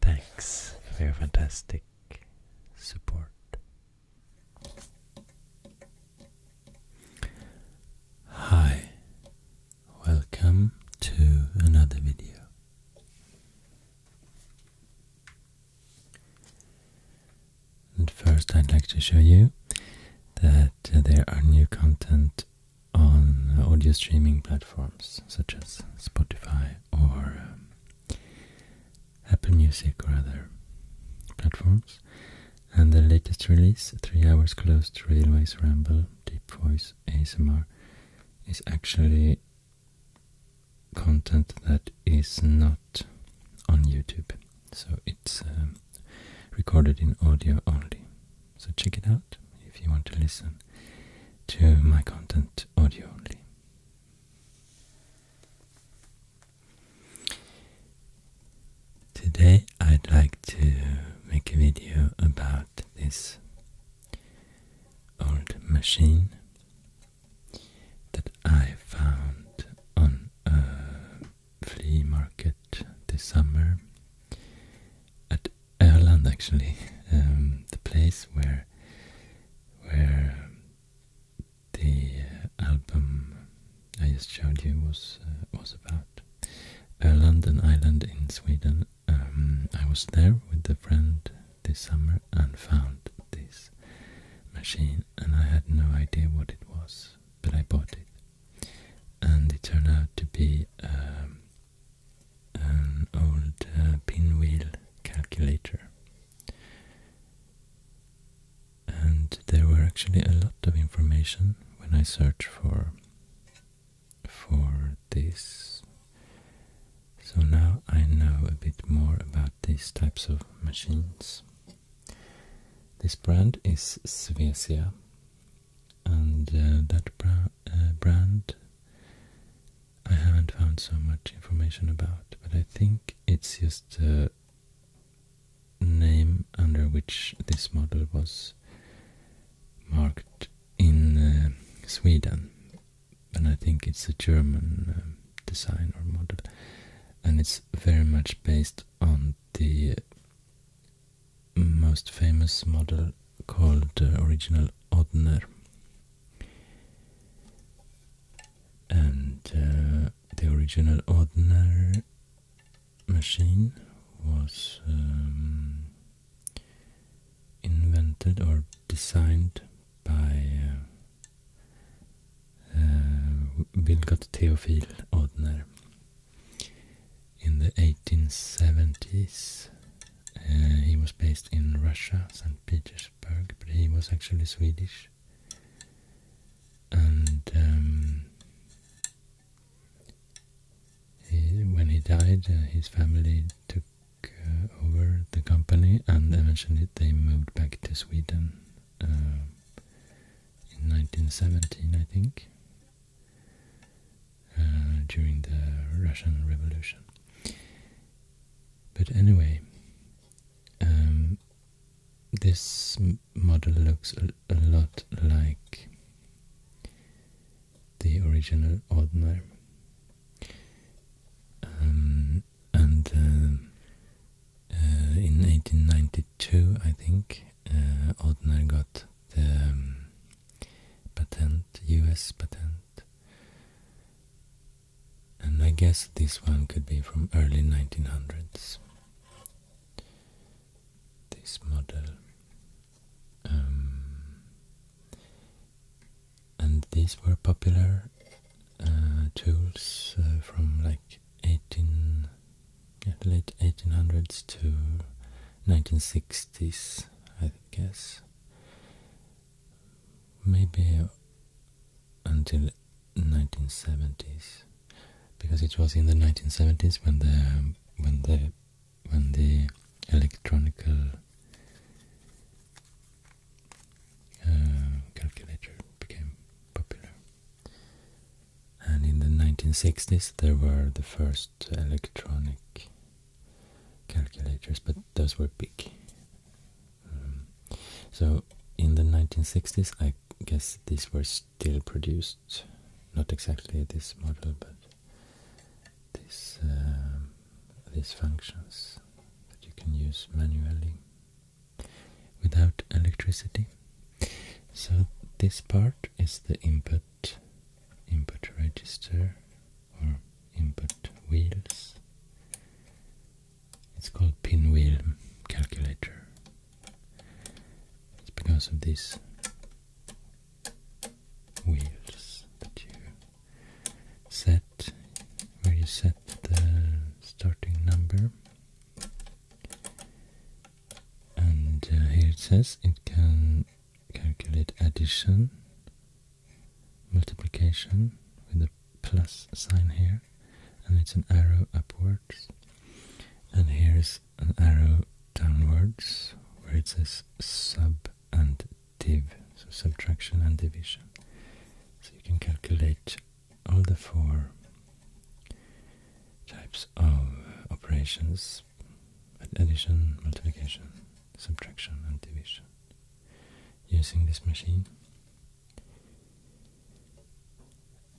Thanks for your fantastic support. Hi, welcome to another video. first, I'd like to show you that uh, there are new content on audio streaming platforms such as Spotify or um, Apple Music or other platforms. And the latest release, Three Hours Closed Railways Ramble, Deep Voice ASMR, is actually content that is not on YouTube. So it's um, recorded in audio only. So check it out if you want to listen to my content audio only. Today I'd like to make a video about this old machine that I found on a flea market this summer at Erland actually, um, the place where where the album I just showed you was uh, was about a uh, London island in Sweden. Um, I was there with a friend this summer and found this machine, and I had no idea what it was, but I bought it, and it turned out to be um, an old uh, pinwheel calculator. And there were actually a lot of information when I searched for for this. So now I know a bit more about these types of machines. This brand is Svesia, and uh, that uh, brand I haven't found so much information about, but I think it's just the name under which this model was marked in uh, Sweden. And I think it's a German um, design or model. And it's very much based on the most famous model called the uh, original Odner and uh, the original ordinary machine was um, invented or designed by uh, uh, Vilgot Theophil Odner in the 1870s. Uh, he was based in Russia, St. Petersburg but he was actually Swedish. And um, when he died, uh, his family took uh, over the company, and eventually they moved back to Sweden uh, in 1917, I think, during the Russian Revolution. But anyway, um, this model looks a, lot like the original Odmer. Um, and uh, uh, in 1892, I think, uh, Odner got the um, patent, US patent, and I guess this one could be from early 1900s. This model. Um, and these were popular uh, tools uh, from like 18, late 1800s to 1960s, I guess maybe until 1970s, because it was in the 1970s when the when the when the electronical uh, calculator became popular, and in the 1960s there were the first electronic calculators, but those were big um, so in the 1960s, I guess these were still produced, not exactly this model, but this um, these functions that you can use manually without electricity. So this part is the input input register or input wheels it's called pinwheel calculator. It's because of these wheels that you set, where you set the starting number. And uh, here it says it can calculate addition, multiplication with a plus sign here and it's an arrow upwards and here's an arrow downwards where it says sub and div so subtraction and division so you can calculate all the four types of operations addition multiplication subtraction and division using this machine.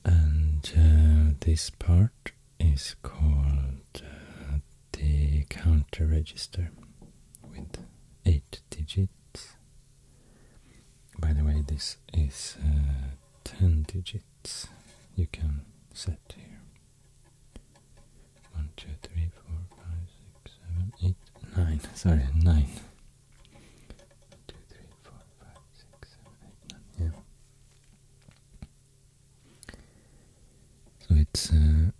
And uh, this part is called uh, the counter register with eight digits. By the way, this is uh, 10 digits you can set here. One, two, three, four, five, six, seven, eight, nine. Sorry, 9. Two, three, four, five, six, seven, eight, nine. Yeah. So it's uh,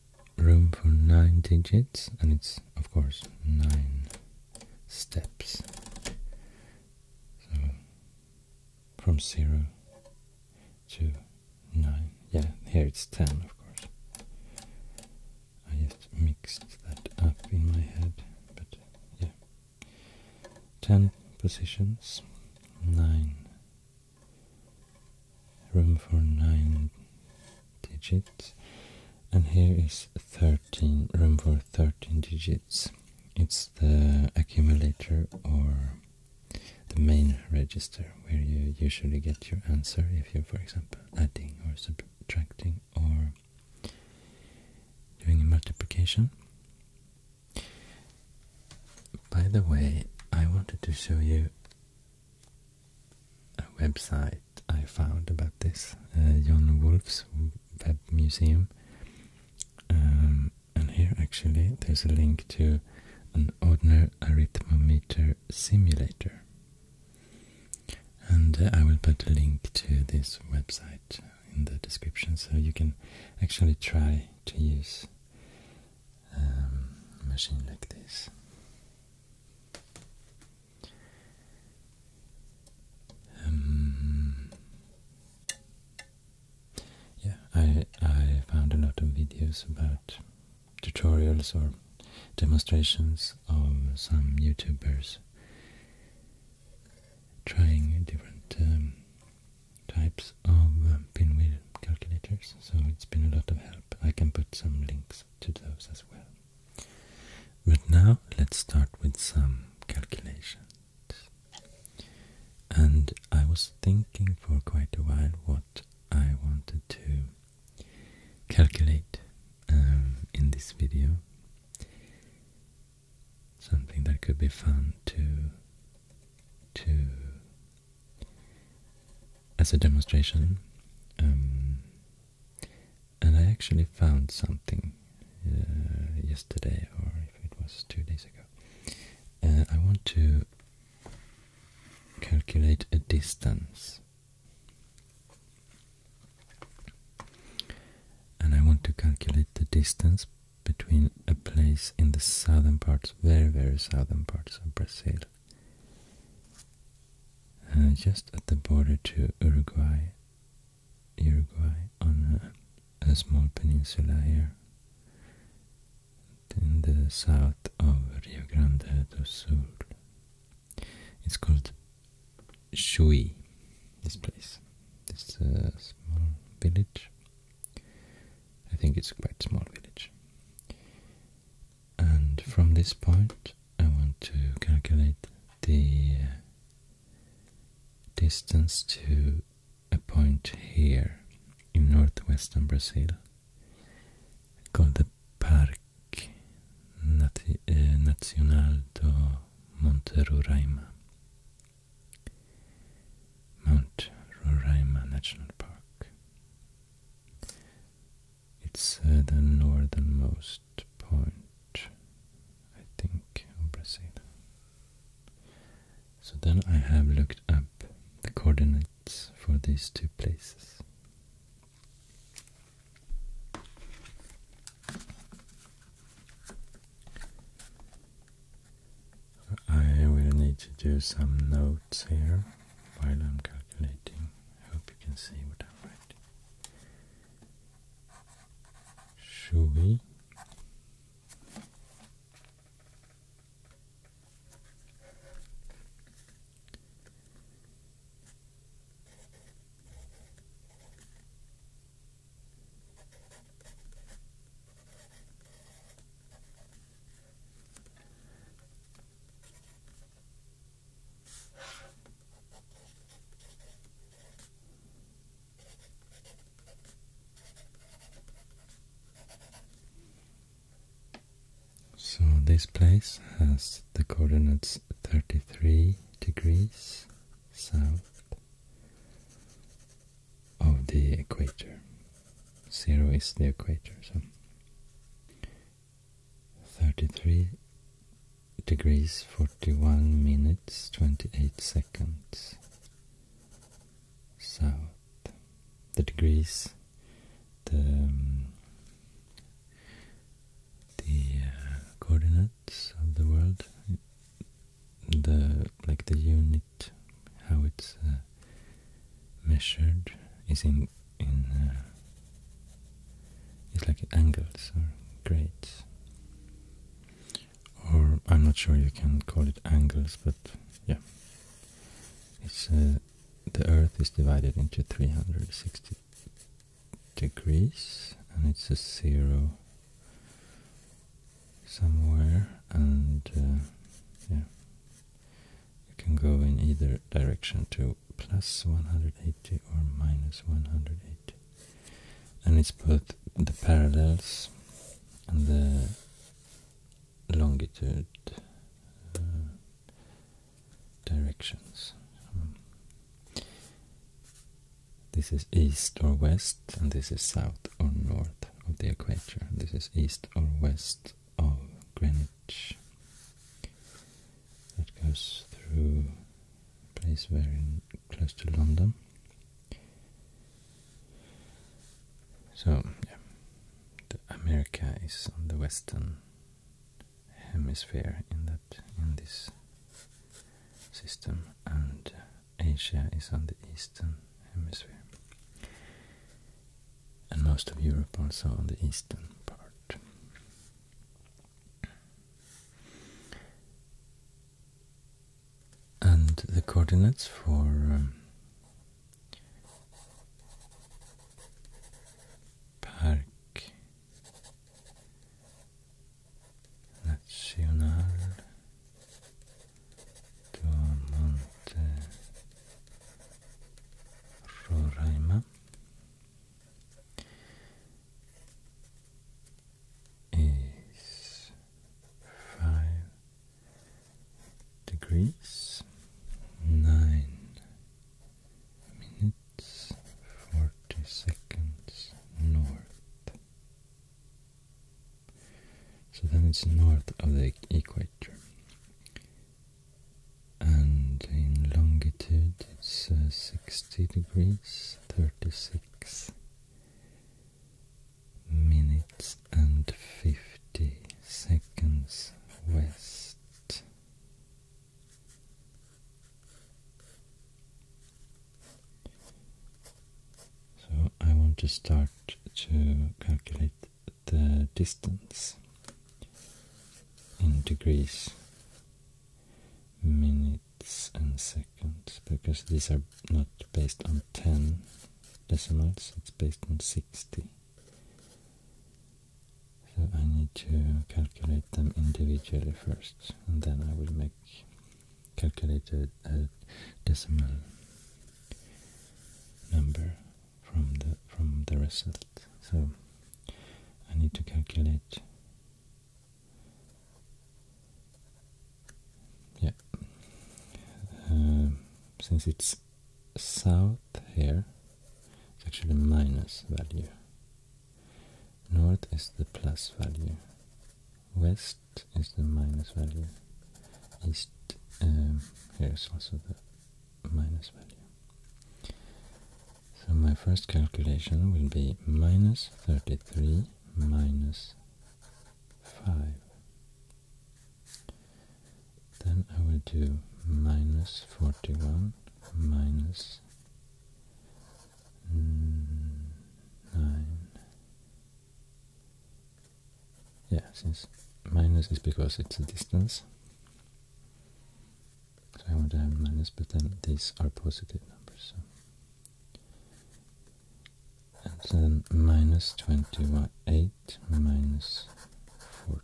room for nine digits, and it's of course nine steps. So from zero to nine. Yeah, here it's ten, of course. I just mixed that up in my head, but yeah. 10 positions, 9 room for 9 digits, and here is 13 room for 13 digits. It's the accumulator or the main register where you usually get your answer if you're, for example, adding or subtracting or doing multiplication. By the way, I wanted to show you a website I found about this, uh, John Wolfe's web museum. Um, and here actually there's a link to an ordinary arithmometer simulator and uh, I will put a link to this website in the description so you can actually try to use um, a machine like this. Um, yeah, I I found a lot of videos about tutorials or demonstrations of some YouTubers trying different um, types of um, pinwheel calculators, so it's been a lot of help. I can put some links to those as well. But now let's start with some calculations. And I was thinking for quite a while what I wanted to calculate um, in this video. Something that could be fun to to as a demonstration. Um, and I actually found something uh, yesterday, or if it was two days ago. Uh, I want to calculate a distance and I want to calculate the distance between a place in the southern parts, very, very southern parts of Brazil, uh, just at the border to Uruguay, Uruguay on a, a small peninsula here in the south of Rio Grande do Sul. It's called Shui, this place, this uh, small village. I think it's quite small village. And from this point, I want to calculate the uh, distance to a point here in northwestern Brazil called the Parque uh, Nacional do Monte Roraima. Mount Roraima National Park. It's uh, the northernmost point, I think, of Brazil. So then I have looked up the coordinates for these two places. I will need to do some notes here while I'm calculating. hope you can see what I'm writing. Shui. So this place has the coordinates 33 degrees south of the equator. Zero is the equator, so 33 degrees 41 minutes 28 seconds south. The degrees, the, um, the uh, coordinate of the world, the like the unit, how it's uh, measured is in in uh, it's like angles or grades, or I'm not sure you can call it angles, but yeah, it's uh, the Earth is divided into 360 degrees and it's a zero somewhere and uh, yeah you can go in either direction to plus 180 or minus 180 and it's both the parallels and the longitude uh, directions. Um, this is east or west, and this is south or north of the equator. This is east or west of Greenwich. That goes through a place very close to London. So, yeah, America is on the western hemisphere in that in this system and uh, Asia is on the eastern hemisphere. And most of Europe also on the eastern part. And the coordinates for um, Park Nacional do Monte Roraima is five degrees nine minutes forty seconds north so then it's north of the equator. And in longitude it's uh, 60 degrees, 36 minutes and 50 seconds west. So I want to start to calculate the distance in degrees, minutes and seconds because these are not based on 10 decimals, it's based on 60. So I need to calculate them individually first and then I will make calculated a decimal number from the from the result. So I need to calculate yeah uh, since it's south here it's actually a minus value north is the plus value west is the minus value. Is um, here is also the minus value. So my first calculation will be minus 33 minus 5. Then I will do minus 41 minus Mm, nine. Yeah, since minus is because it's a distance. So I want to have minus, but then these are positive numbers. So. And then minus 28 minus 40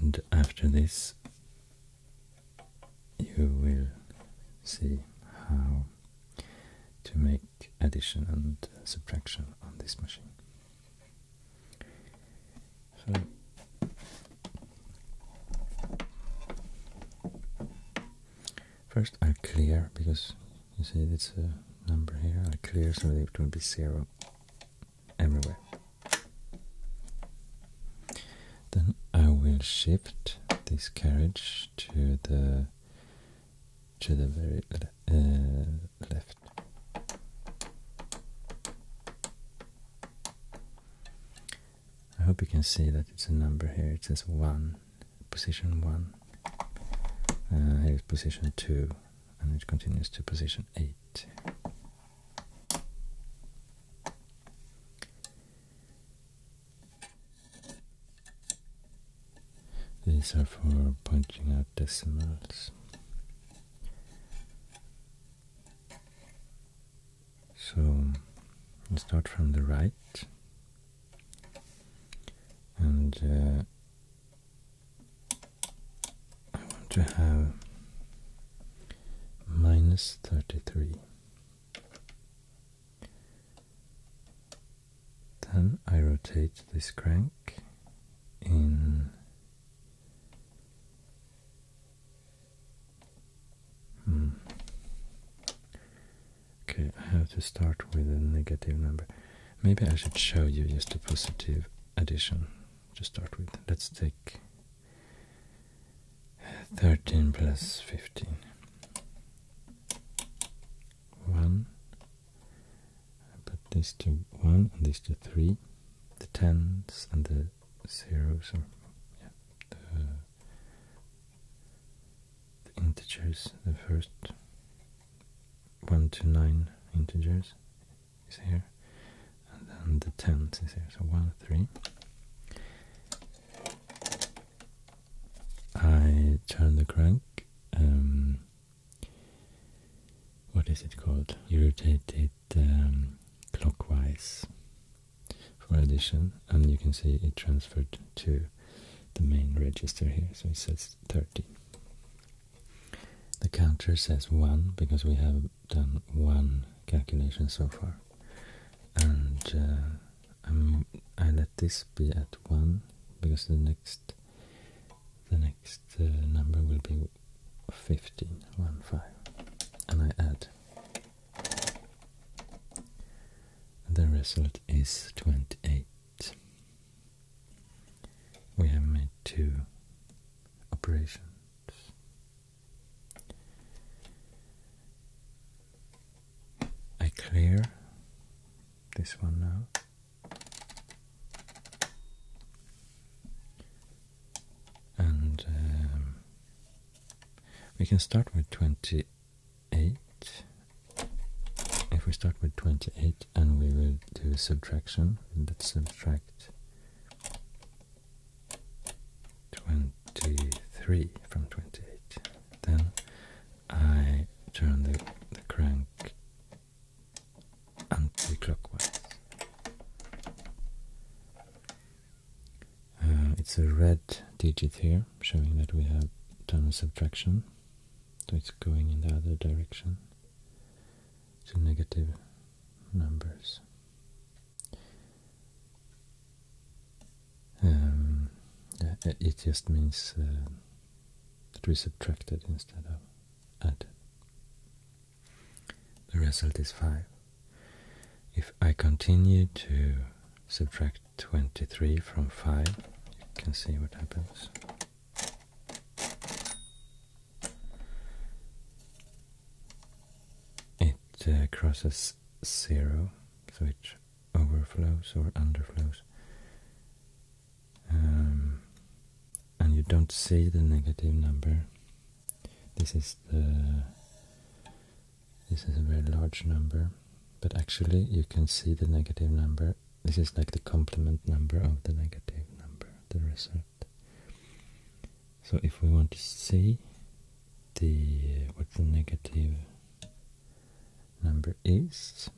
and after this you will see how to make addition and subtraction on this machine. First I'll clear because you see it's a number here, I'll clear so that it will be zero everywhere. Then I will shift this carriage to the to the very uh, left. I hope you can see that it's a number here. It says one, position one. Uh, here is position two, and it continues to position eight. These are for pointing out decimals. So start from the right and uh, I want to have minus 33. Then I rotate this crank in hmm. Okay, I have to start with a negative number. Maybe I should show you just a positive addition to start with. Let's take 13 plus 15. 1. I put this to 1 and this to 3. The tens and the zeros are the integers, the first 1 to 9 integers is here, and then the tens is here. So one, three. I turn the crank. Um, what is it called? You rotate it um, clockwise for addition, and you can see it transferred to the main register here. So it says 30. The counter says 1 because we have done one calculation so far, and uh, i let this be at one because the next the next uh, number will be 15, 1, 5, and I add. The result is 28. We have made two operations. I clear this one now. And um, we can start with 28. If we start with 28 and we will do subtraction, let's subtract 23 from 28. Then I turn the, the crank anti-clockwise. Uh, it's a red digit here, showing that we have done a subtraction. So it's going in the other direction. to negative numbers. Um, it just means uh, that we subtracted instead of added. The result is 5. If I continue to subtract 23 from 5, you can see what happens. It uh, crosses zero, which overflows or underflows. Um, and you don't see the negative number. This is the this is a very large number, but actually you can see the negative number. This is like the complement number of the negative number, the result so if we want to see the uh, what the negative number is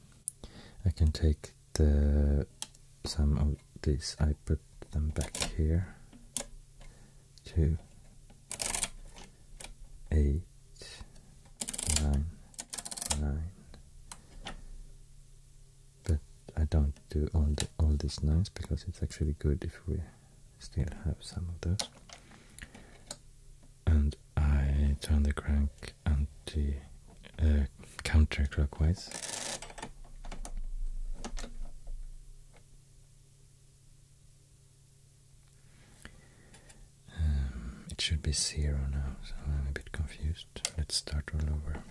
I can take the some of this. I put them back here to two eight nine nine but I don't do all all these nines because it's actually good if we still have some of those. And I turn the crank anti uh, counter clockwise. Um, it should be zero now, so I'm a bit confused. Let's start all over.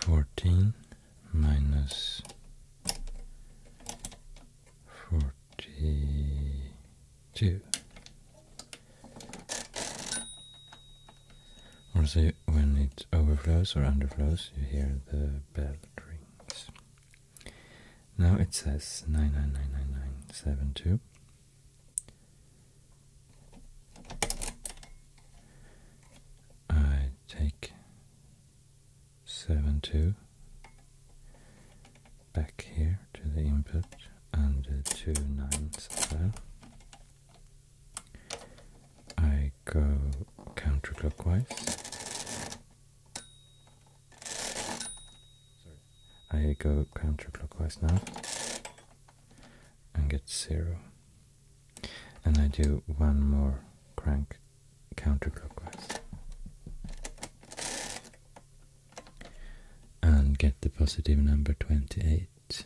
Fourteen minus forty two. Or so when it overflows or underflows, you hear the bell rings. Now it says 999992. I take two back here to the input under the two nines as well. I go uh, counterclockwise. Sorry. I go counterclockwise now and get zero. And I do one more crank counterclockwise and get the positive number 28.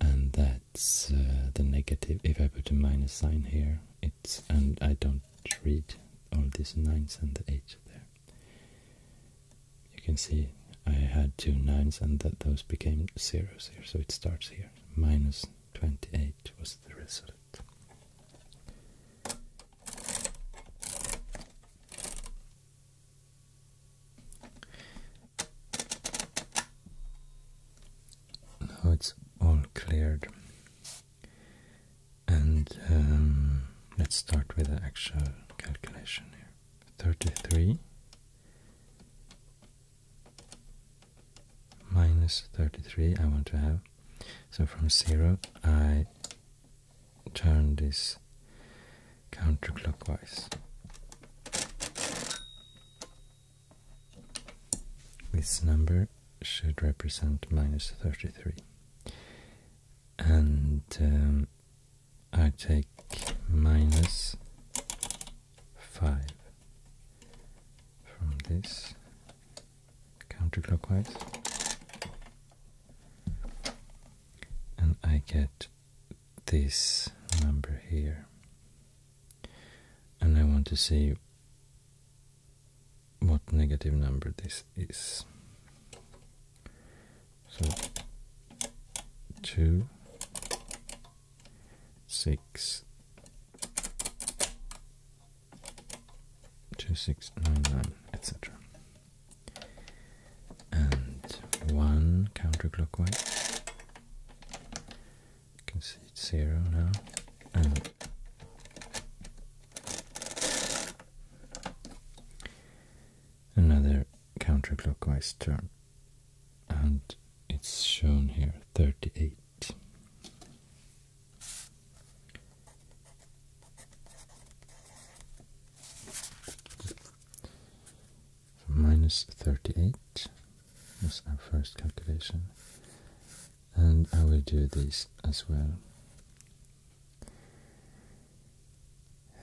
And that that's uh, the negative. If I put a minus sign here, it's and I don't read all these nines and the eight there. You can see I had two nines and that those became zeros here, so it starts here. Minus 28 was the result now it's all cleared. And um, let's start with the actual calculation here. 33 minus 33 I want to have. So from 0 I turn this counterclockwise. This number should represent minus 33. And um, I take minus 5 from this counterclockwise. And I get this number here and I want to see what negative number this is. So two, six, two, six, nine, nine, etc. And one counterclockwise, you can see it's zero now. And another counterclockwise turn. And it's shown here 38. 38 was our first calculation. And I will do this as well.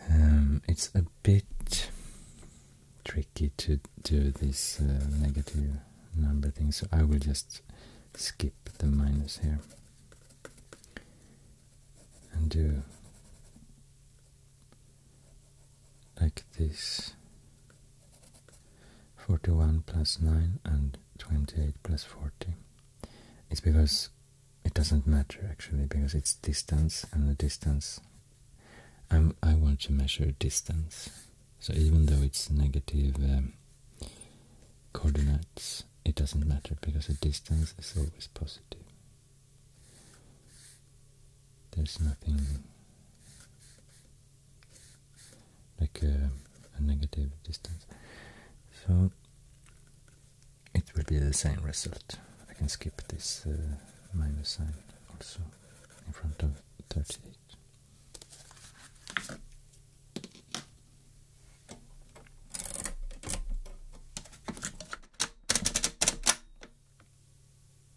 Um, it's a bit tricky to do this uh, negative number thing, so I will just skip the minus here and do like this 41 plus 9 and 28 plus 40 it's because it doesn't matter actually because it's distance and the distance i want to measure distance so even though it's negative um, coordinates it doesn't matter because the distance is always positive there's nothing like uh, a, negative distance. So it will be the same result. I can skip this uh, minus sign also in front of 38.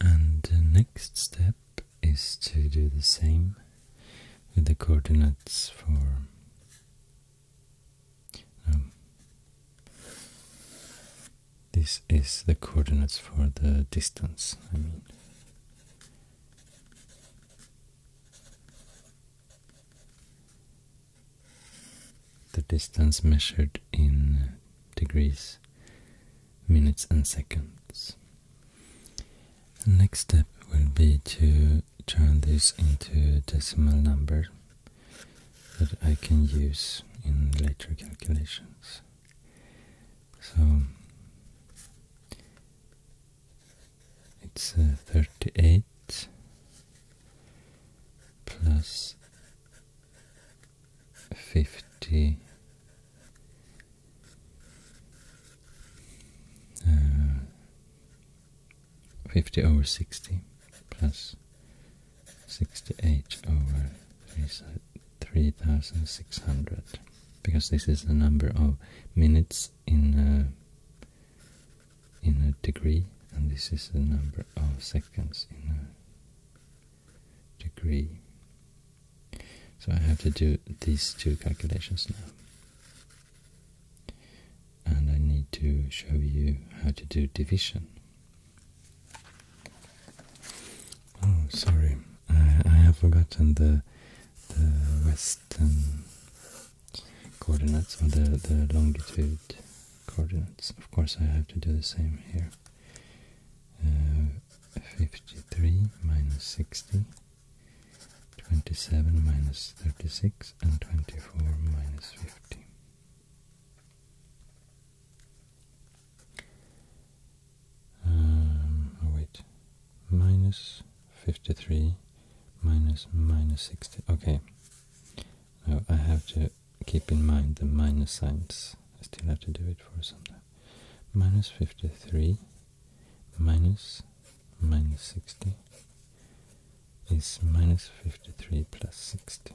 And the next step is to do the same with the coordinates for um, this is the coordinates for the distance, I mean. The distance measured in degrees, minutes, and seconds. next step will be to turn this into decimal number that I can use in later calculations. So it's uh, 38 plus 50 uh, 50 over 60 plus 68 over 3600 because this is the number of minutes in a, in a degree and this is the number of seconds in a degree so I have to do these two calculations now and I need to show you how to do division Oh, sorry, I, have forgotten the the western coordinates or the the longitude coordinates. Of course, I have to do the same here. Uh, 53 minus 60, 27 minus 36, and 24 minus 50. Um, wait, minus 53, minus minus 60. Okay, now I have to keep in mind the minus signs. I still have to do it for some time. Minus 53, minus minus 60 is minus 53 plus 60.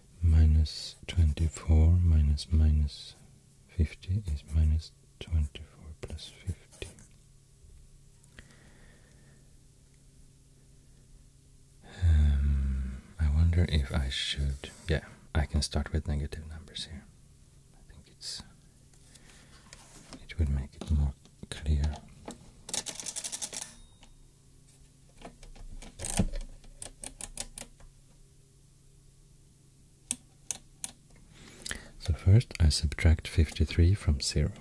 minus 24 minus minus 50 is minus 24 plus 50. Um, I wonder if I should... Yeah, I can start with negative numbers here. I think it's... It would make it more clear. So first I subtract 53 from 0.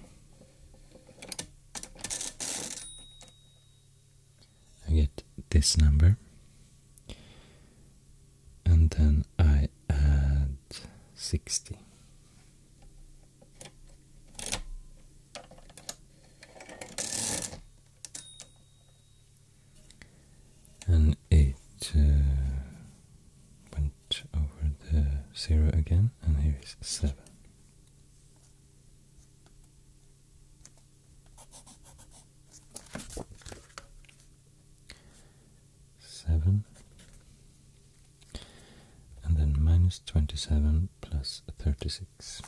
I get this number. And then I add 60 and it uh, went over the zero again, and here is seven. Seven and then minus twenty seven plus thirty six.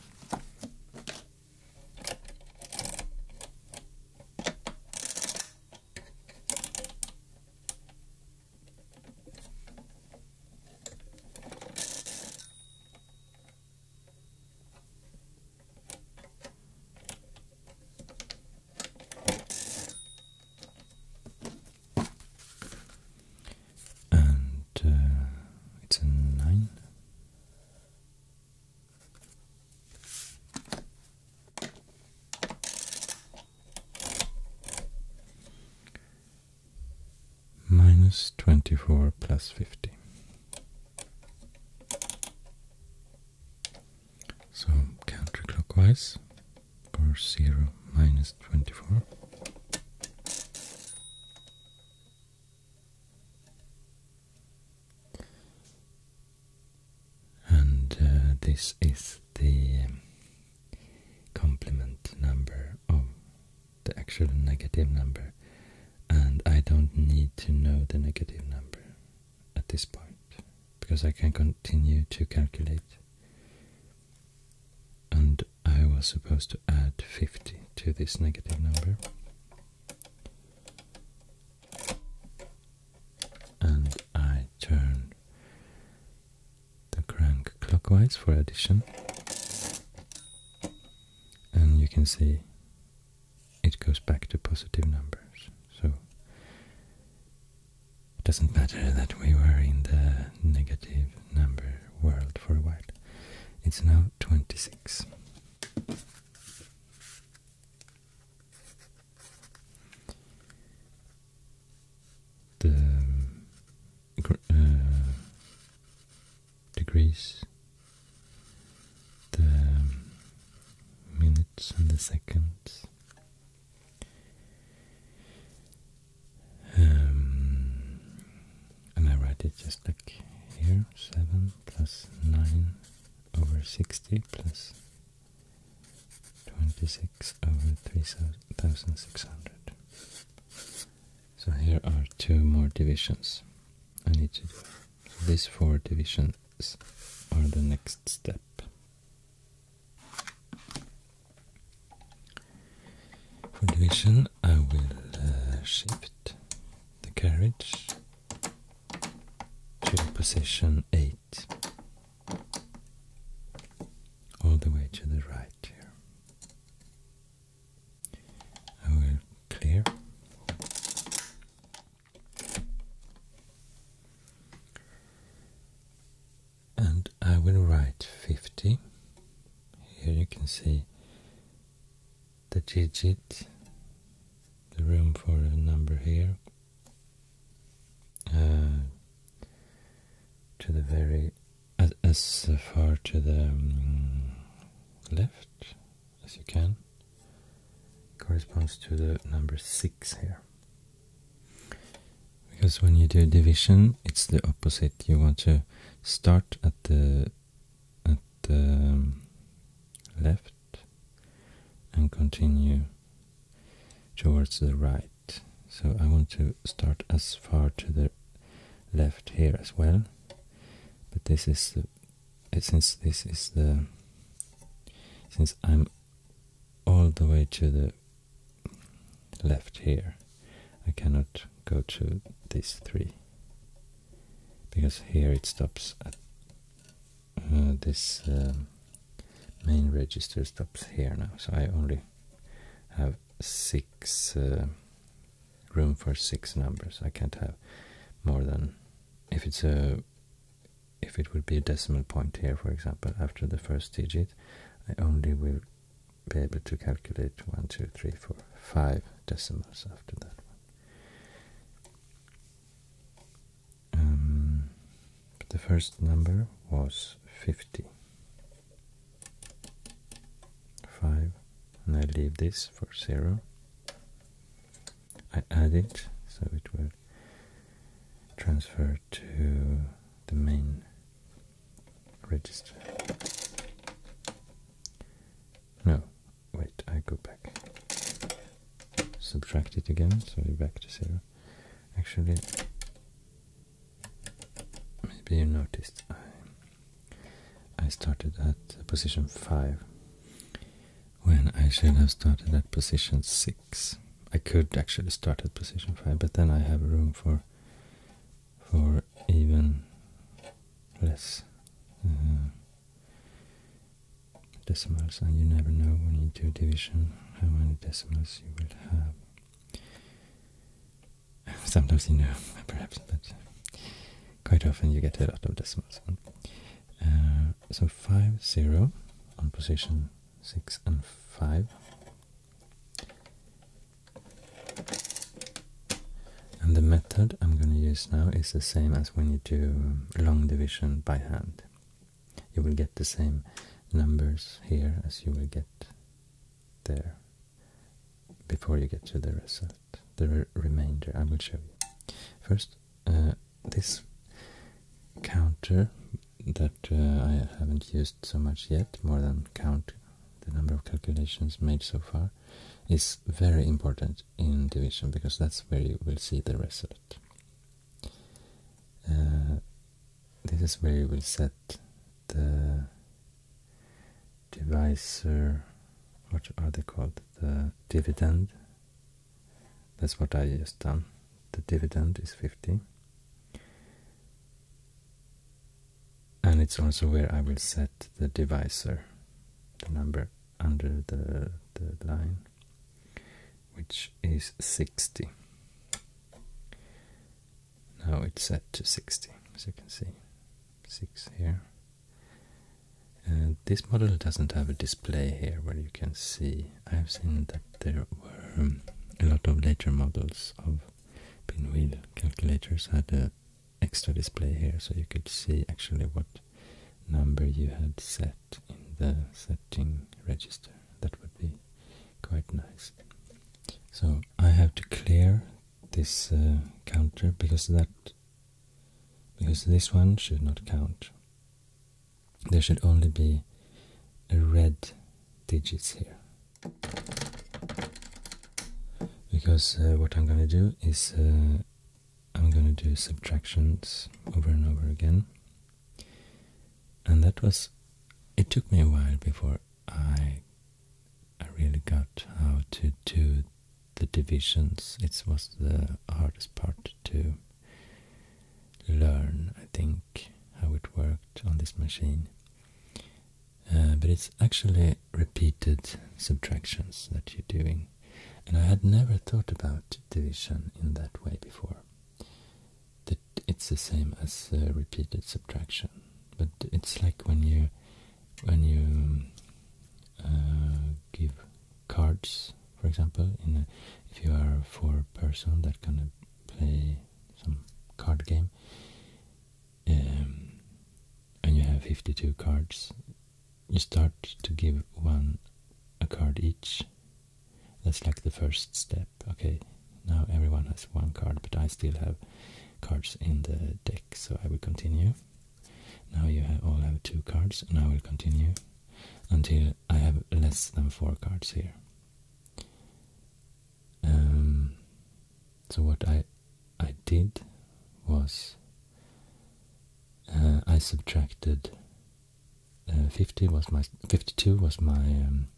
And uh, it's a nine minus 24 plus 50. So counterclockwise or 0 minus 24 and uh, this is the um, complement number of the actual negative number, and I don't need to know the negative number at this point because I can continue to calculate. And I was supposed to add 50 to this negative number and I turn the crank clockwise for addition and you can see it goes back to positive numbers so it doesn't matter that we were in the negative number world for a while it's now 26 the um, uh, degrees, the um, minutes and the seconds. Um, and I write it just like here, 7 plus 9 over 60 plus 26 over 3600. So here are two more divisions I need to these four divisions are the next step. For division I will uh, it the carriage to position 8 all the way to the right here. I will clear. And I will write 50. Here you can see the digit, the room for a number here, uh, to the very, as, as far to the um, left as you can, corresponds to the number 6 here. Because when you do division, it's the opposite. You want to start at the at the um, left and continue towards the right. So I want to start as far to the left here as well. But this is the uh, since this is the since I'm all the way to the left here, I cannot go to these three because here it stops at uh, this um, main register stops here now so I only have six uh, room for six numbers I can't have more than if it's a if it would be a decimal point here for example after the first digit I only will be able to calculate one two three four five decimals after that one um, the first number was 50. and I leave this for 0. I add it so it will transfer to the main register. No, wait, I go back. Subtract it again, Sorry, back to zero. Actually, maybe you noticed I I started at position five when I should have started at position six. I could actually start at position five, but then I have room for for even less. Uh, decimals and you never know when you do division how many decimals you will have sometimes you know perhaps but uh, quite often you get a lot of decimals uh, so 5 0 on position 6 and 5 and the method I'm going to use now is the same as when you do um, long division by hand. You will get the same numbers here as you will get there before you get to the result, the remainder. I will show you. First, uh, this counter that uh, I haven't used so much yet, more than count the number of calculations made so far, is very important in division because that's where you will see the result. Uh, this is where you will set the divisor, what are they called? The dividend. That's what I just done. The dividend is 50. And it's also where I will set the divisor, the number under the, the line, which is 60. Now it's set to 60, as you can see, 6 here. this model doesn't have a display here where you can see. I've seen that there were um, a lot of later models of pinwheel calculators had an extra display here so you could see actually what number you had set in the setting register. That would be quite nice. So I have to clear this uh, counter because that because this one should not count. There should only be red digits here. Because uh, what I'm going to do is uh, I'm going to do subtractions over and over again. And that was, it took me a while before I, I really got how to do the divisions. It was the hardest part to learn, I think, how it worked on this machine. Uh, but it's actually repeated subtractions that you're doing. And I had never thought about division in that way before. That it's the same as uh, repeated subtraction, but it's like when you when you uh, give cards, for example, in if you are four person that gonna play some card game, um, and you have fifty two cards, you start to give one a card each. That's like the first step. Okay, now everyone has one card, but I still have cards in the deck, so I will continue. Now you all have two cards, and I will continue until I have less than four cards here. Um, so what I I did was uh, I subtracted uh, 50 was my 52 was my um,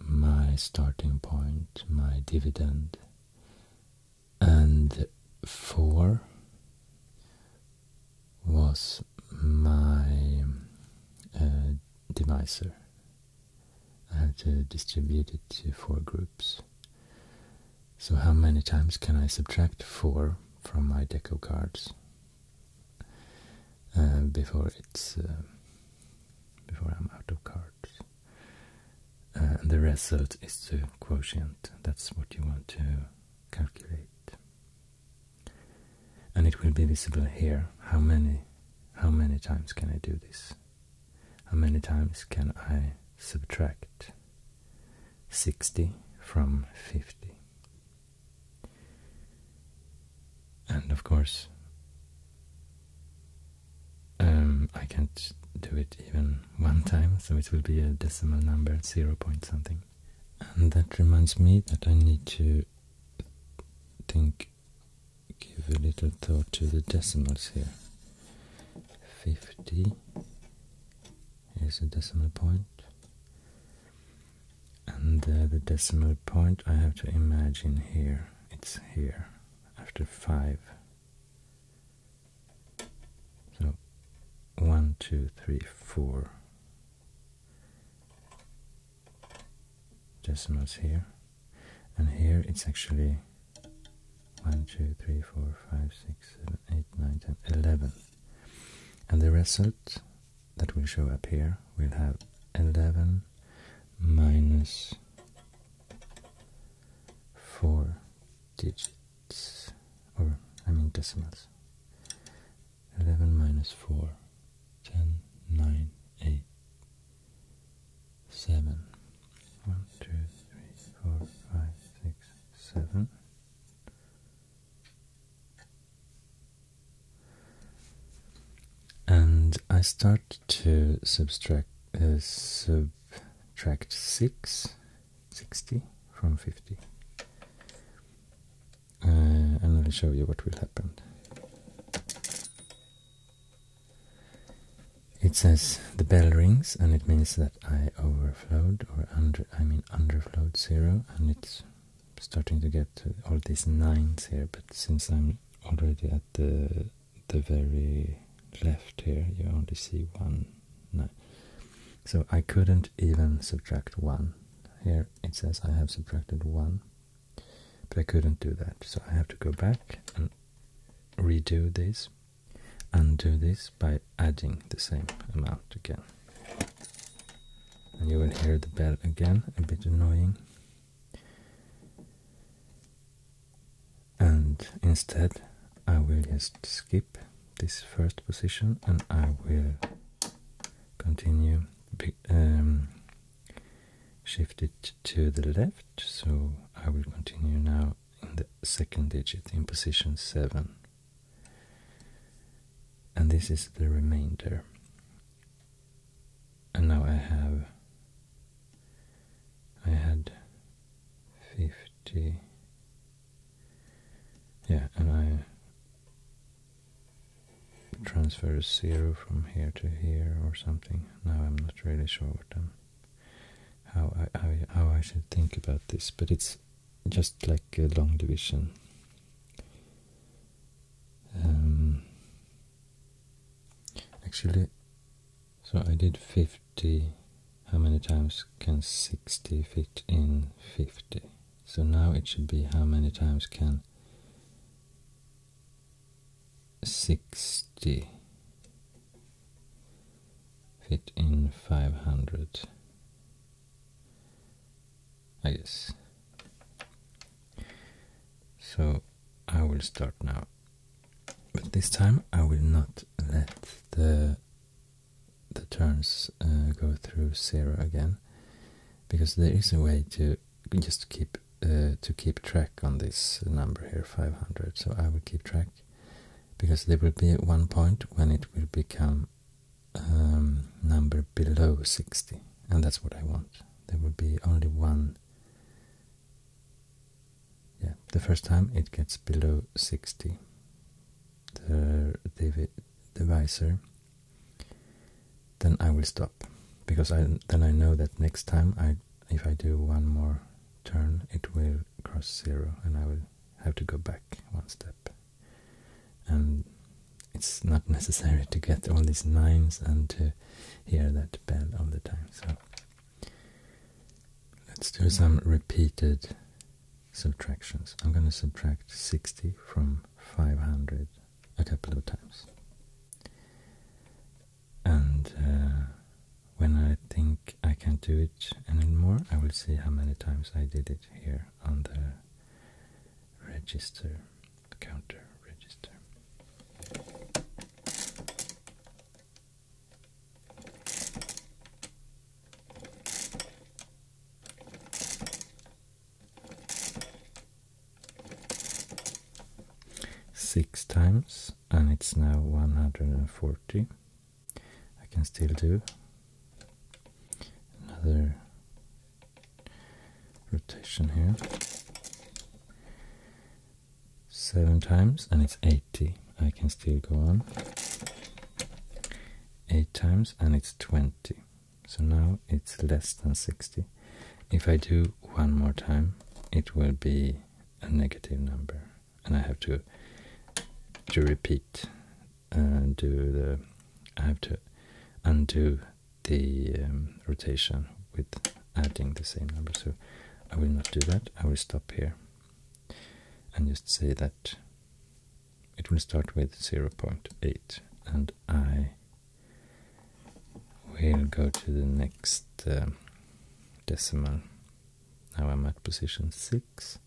my starting point, my dividend, and four was my uh, divisor. I have to distribute it to four groups. So how many times can I subtract four from my deco cards uh, before it's uh, before I'm out of cards. Uh, the result is the quotient. That's what you want to calculate, and it will be visible here. How many, how many times can I do this? How many times can I subtract 60 from 50. And of course, um, I can't do it even one time, so it will be a decimal number, zero point something. And that reminds me that I need to think, give a little thought to the decimals here. 50 is a decimal And uh, the decimal point I have to imagine here, it's here, after 5. So, one, two, three, four decimals here. And here it's actually 1, 2, 3, 4, 5, 6, 7, 8, 9, 10, 11. And the result that will show up here will have 11 minus 4 digits, or I mean decimals. 11 minus 4, 10, 9, 8, 7. 1, 2, 3, 4, 5, 6, 7 and I start to subtract uh, subtract 6 60 from 50 uh, and I'll show you what will happen it says the bell rings and it means that I overflowed or under I mean underflowed zero and it's starting to get to all these nines here, but since I'm already at the the very left here, you only see one nine. So I couldn't even subtract one. Here it says I have subtracted one, but I couldn't do that. So I have to go back and redo this, undo this by adding the same amount again. And you will hear the bell again, a bit annoying. And instead, I will just skip this first position and I will continue, um, shift it to the left. So I will continue now in the second digit in position 7 and this is the remainder and now I have I had 50 yeah and I transfer a zero from here to here or something now I'm not really sure what I'm how I, how I should think about this but it's just like a long division. Um, actually, so I did 50. How many times can 60 fit in 50? So now it should be how many times can 60 fit in 500? I guess. So I will start now. But this time I will not let the the turns uh, go through zero again, because there is a way to just keep uh, to keep track on this number here, 500. So I will keep track, because there will be one point when it will become um, number below 60, and that's what I want. There will be only one. Yeah, the first time it gets below 60, the divi divisor, then I will stop because I then I know that next time I if I do one more turn it will cross zero and I will have to go back one step and it's not necessary to get all these nines and to hear that bell all the time. So let's do some repeated subtractions. I'm going to subtract 60 from 500 a couple of times. And uh, when I think I can't do it anymore, I will see how many times I did it here on the register, counter register. Six times, and it's now 140. I can still do another rotation here seven times and it's 80 I can still go on eight times and it's 20 so now it's less than 60 if I do one more time it will be a negative number and I have to to repeat uh, do the I have to undo the um, rotation with adding the same number. So I will not do that. I will stop here and just say that it will start with 0.8 and I will go to the next um, decimal. Now I'm at position 6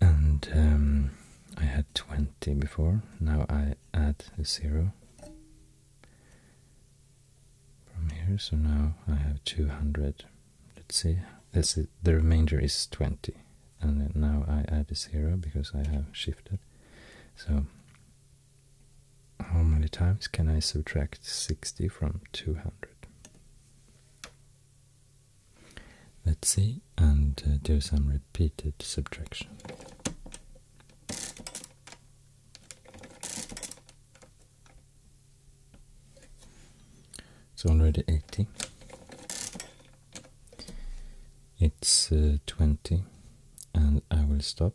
and um, I had 20 before, now I add a zero from here, so now I have 200, let's see, That's the remainder is 20, and now I add a zero because I have shifted, so how many times can I subtract 60 from 200? Let's see and uh, do some repeated subtraction. It's already 80. It's uh, 20 and I will stop.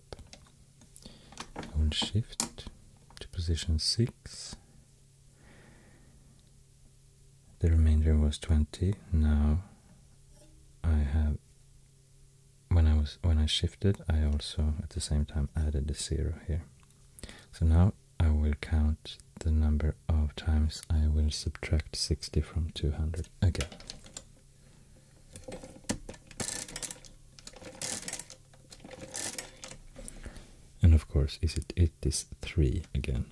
I will shift to position 6 the remainder was 20 now I have when I was when I shifted I also at the same time added the zero here so now I will count the number of times I will subtract 60 from 200 again and of course is it it is 3 again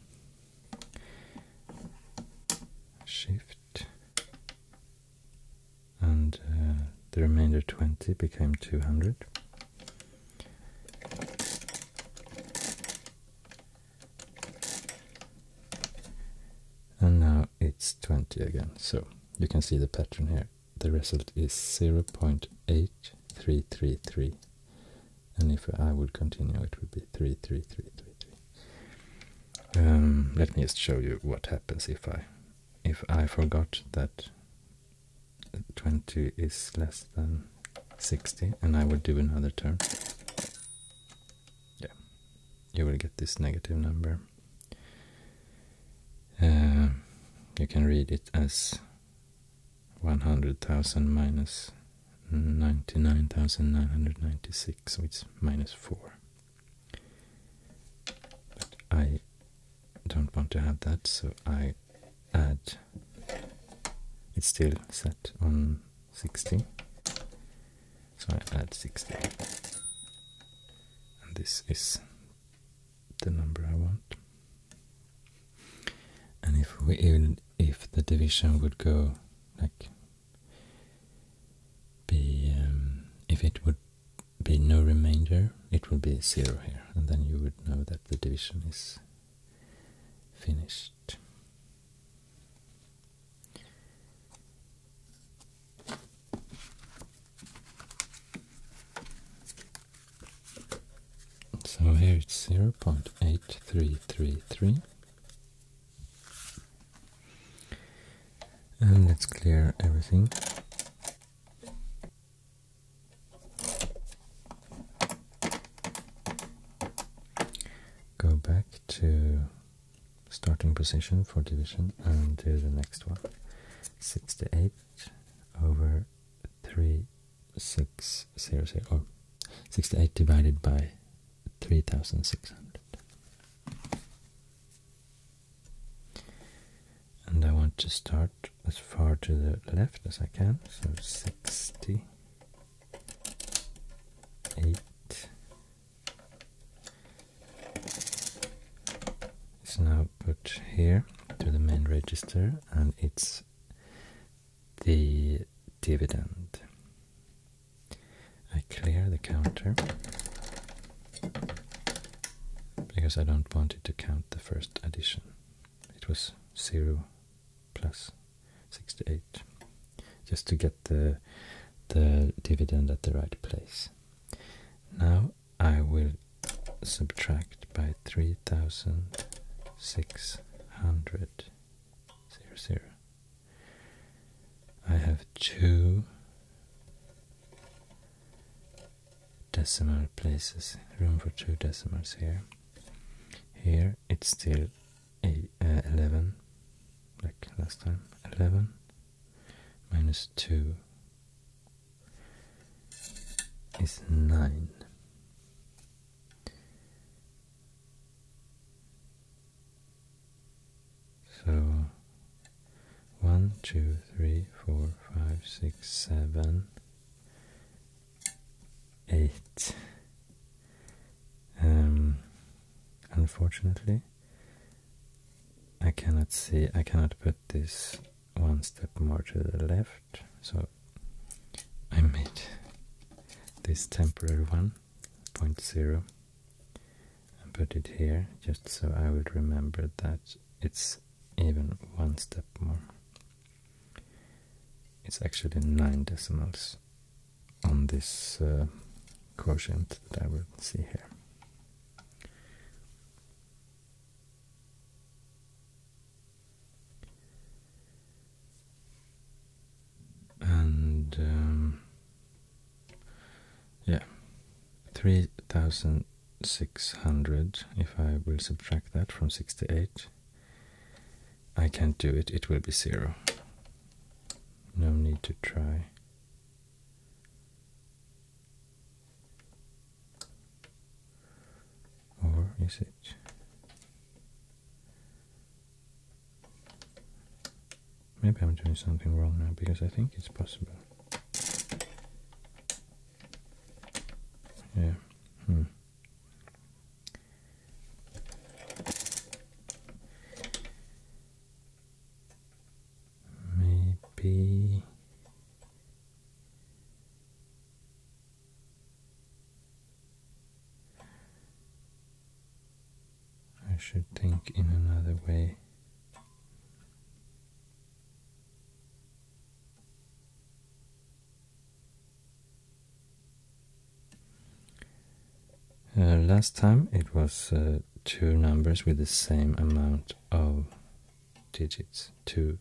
shift and uh, the remainder 20 became 200 and now it's 20 again so you can see the pattern here the result is 0.8333 and if I would continue it would be 3 um, let me just show you what happens if I if I forgot that 20 is less than 60 and I would do another turn yeah you will get this negative number um, you can read it as 100,000 minus 99,996, so it's minus 4. But I don't want to have that, so I add. It's still set on 60, so I add 60. And this is the number I want. And if we even if the division would go like be um, if it would be no remainder, it would be zero here, and then you would know that the division is finished. So here it's 0.8333 and let's clear everything go back to starting position for division and do the next one 68 over 3600 or 68 divided by 3600 and I want to start as far to the left as I can so 60 is now put here to the main register and it's the dividend. I clear the counter because I don't want it to count the first addition. It was 0 plus 68 just to get the the dividend at the right place. Now I will subtract by 3600 zero, zero. I have two decimal places, room for two decimals here. Here it's still a, uh, 11, like last time, 11 minus 2 is 9. So one, two, three, four, five, six, seven, eight. Um, unfortunately, I cannot see. I cannot put this one step more to the left. So I made this temporary one point zero and put it here just so I will remember that it's even one step more. It's actually nine decimals on this uh, quotient that I will see here and um, yeah, 3600 if I will subtract that from 68. I can't do it, it will be zero. No need to try. Or is it? Maybe I'm doing something wrong now because I think it's possible. Yeah. Hmm. Maybe I should think in another way. Uh, last time it was uh, two numbers with the same amount of digits, two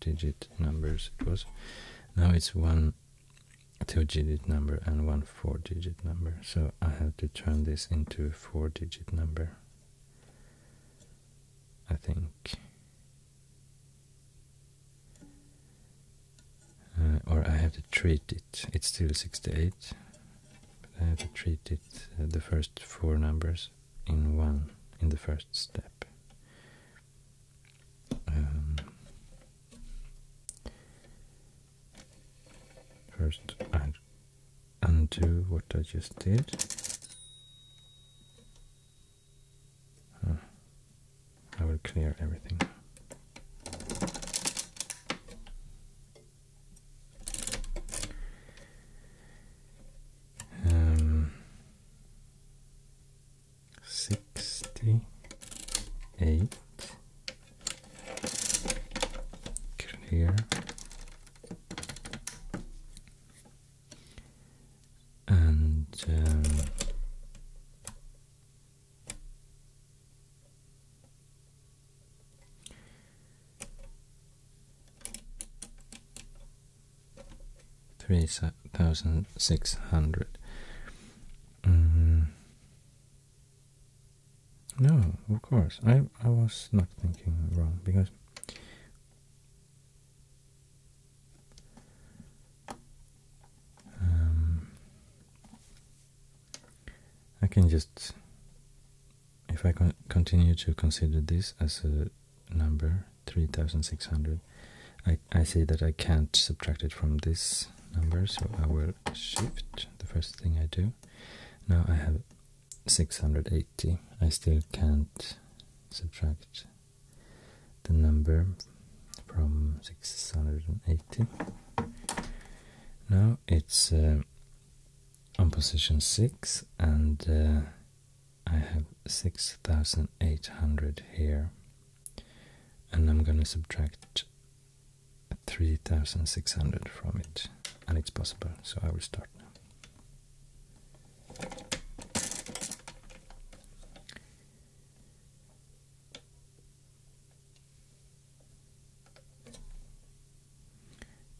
digit numbers it was. Now it's one two-digit number and one four-digit number. So I have to turn this into a four-digit number. I think. Uh, or I have to treat it. It's still 68. But I have to treat it, uh, the first four numbers, in one, in the first step. Um, First, undo what I just did. I will clear everything. Um, Sixty-eight Get in here. And um, three thousand six hundred. Um, no, of course. I I was not thinking wrong because um, I can just if I continue to consider this as a number three thousand six hundred. I I see that I can't subtract it from this number, so I will shift the first thing I do. Now I have 680. I still can't subtract the number from 680. Now it's uh, on position 6 and uh, I have 6800 here and I'm gonna subtract 3600 from it and it's possible so I will start now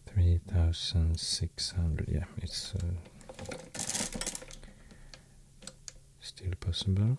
Three thousand six hundred. Yeah, it's uh, still possible.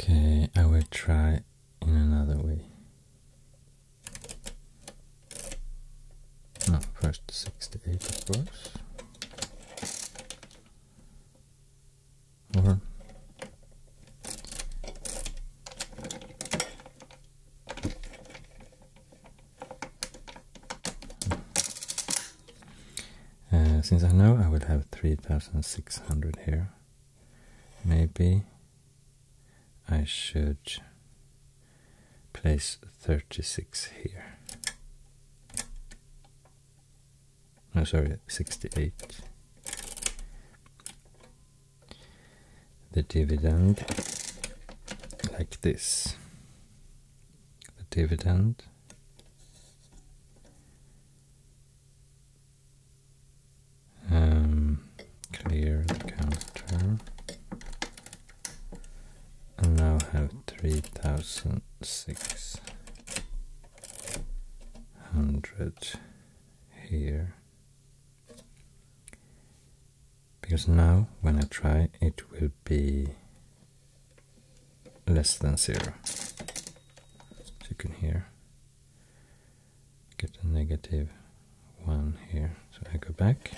Okay, I will try in another way. No, first 68 of course. Or uh, since I know I will have 3600 here, maybe I should place 36 here. I'm oh, sorry, 68. The dividend, like this. The dividend. Um, clear the counter and now have 3600 here because now when I try it will be less than zero so you can hear get a negative one here so I go back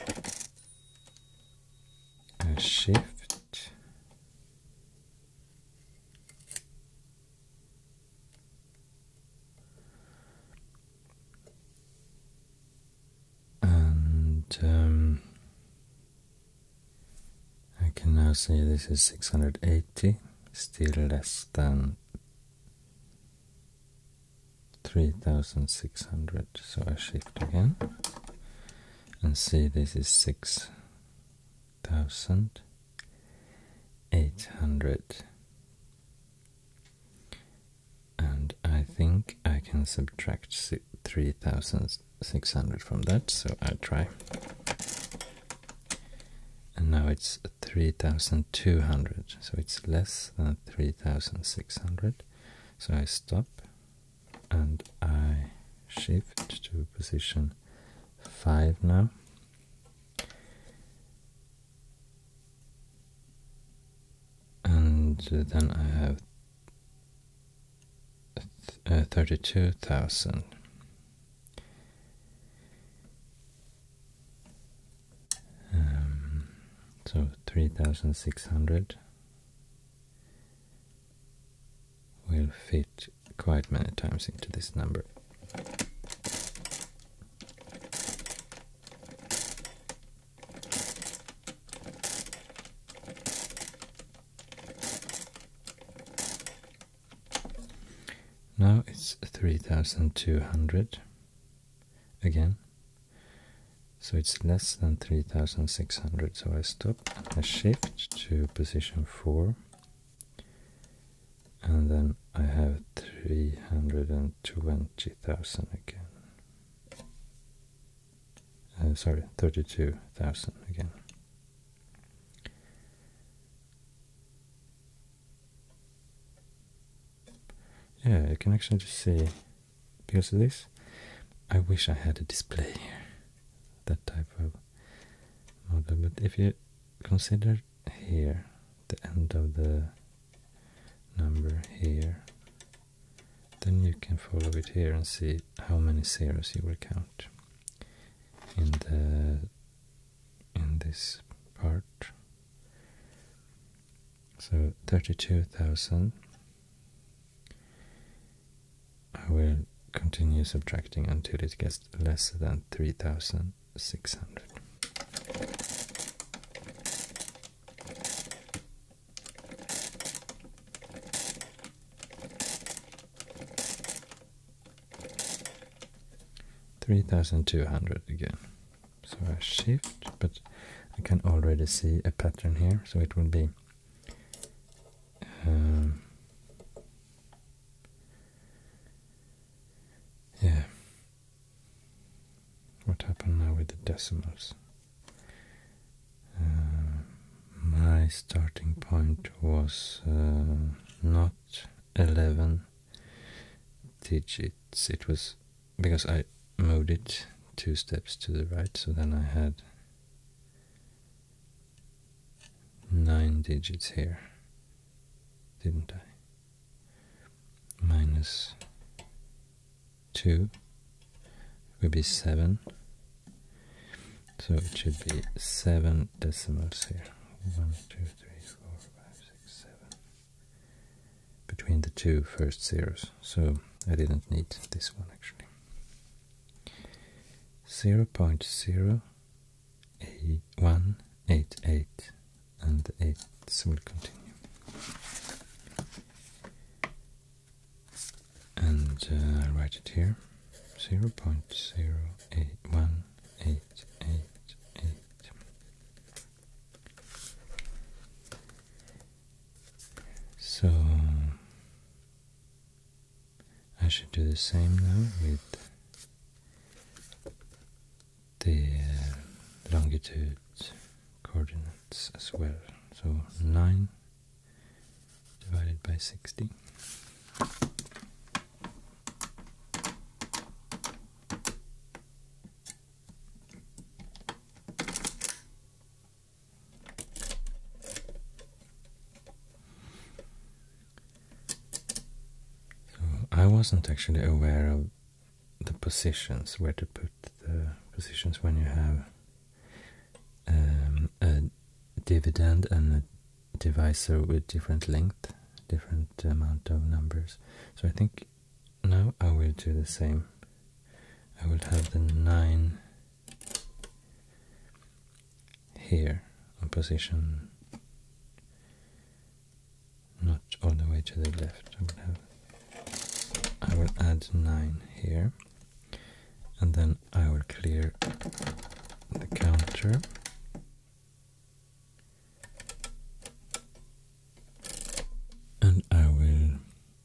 and shift and um, I can now see this is 680, still less than 3600. So I shift again and see this is 6 thousand eight hundred. And I think I can subtract 3600 from that, so I'll try. And now it's 3200, so it's less than 3600. So I stop and I shift to position 5 now. And uh, then I have uh, 32,000. Um, so 3,600 will fit quite many times into this number. Now it's 3200 again. So it's less than 3600. So I stop, I shift to position four and then I have 320,000 again uh, sorry 32,000 again yeah you can actually just see because of this I wish I had a display here that type of model. But if you consider here, the end of the number here, then you can follow it here and see how many zeros you will count in the in this part. So thirty-two thousand I will continue subtracting until it gets less than 3600. Three thousand two hundred again. So I shift, but I can already see a pattern here. So it will be um, yeah. What happened now with the decimals? Uh, my starting point was uh, not 11 digits, it was because I moved it two steps to the right, so then I had nine digits here, didn't I? Minus two would be seven. So it should be seven decimals here. One, two, three, four, five, six, seven. Between the two first zeros. So I didn't need this one actually. Zero point zero a one eight eight and the eights will continue and I'll uh, write it here zero point zero eight one eight eight eight. so I should do the same now with the uh, longitude coordinates as well. So 9 divided by 60. So I wasn't actually aware of the positions, where to put the positions when you have um, a dividend and a divisor with different length, different amount of numbers. So I think now I will do the same. I will have the 9 here on position not all the way to the left. I will I will add nine here and then I will clear the counter and I will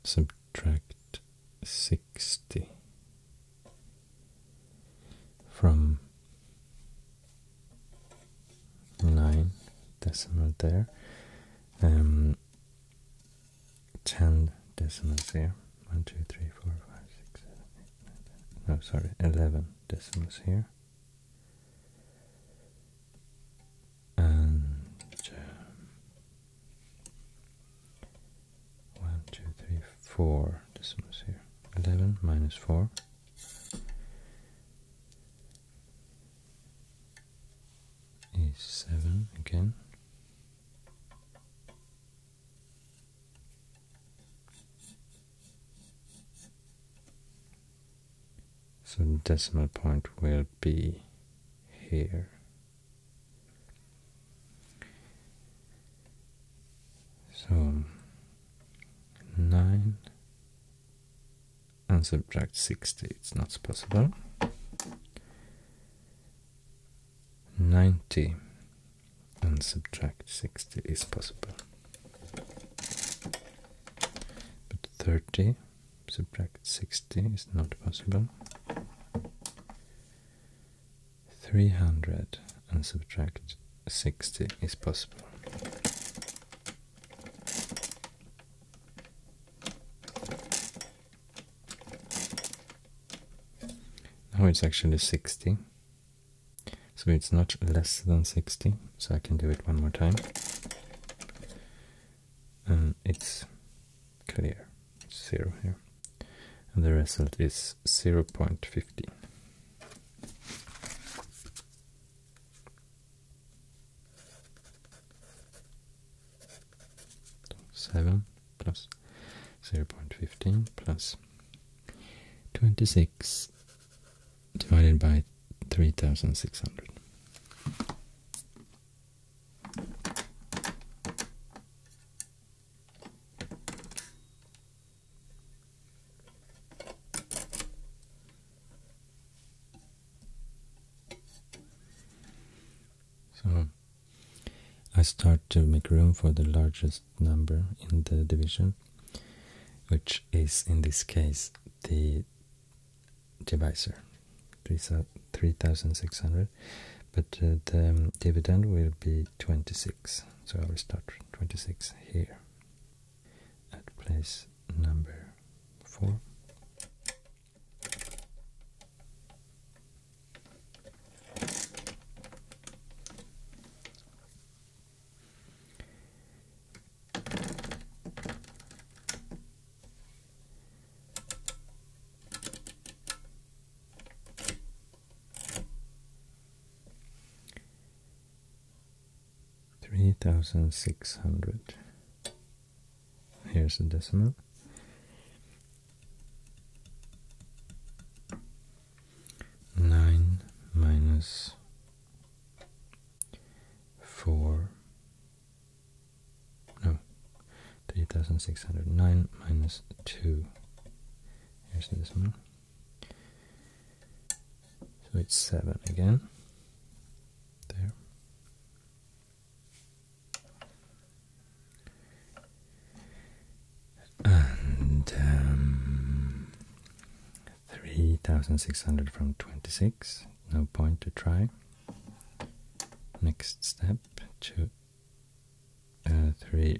subtract sixty from nine decimals there, um, ten decimals here. One, two, three, four, five, six, seven, eight, nine, ten. No, sorry, eleven decimals here. And um, 1, 2, 3, 4 decimals here. 11 minus 4. Is 7 again. So decimal point will be here. So, 9 and subtract 60, it's not possible. 90 and subtract 60 is possible. But 30 subtract 60 is not possible. 300 and subtract 60 is possible. Now it's actually 60. So it's not less than 60, so I can do it one more time. And it's clear, zero here. And the result is 0.15. Seven plus zero point fifteen plus twenty six divided by three thousand six hundred. So I start to make room for the largest number in the division, which is in this case the divisor, 3600, but uh, the dividend will be 26 so I will start 26 here at place number 4 Three thousand six hundred. Here's the decimal. Nine minus four. No, three thousand six hundred nine minus two. Here's a decimal. So it's seven again. There. And um, 3600 from 26, no point to try. Next step to uh, 3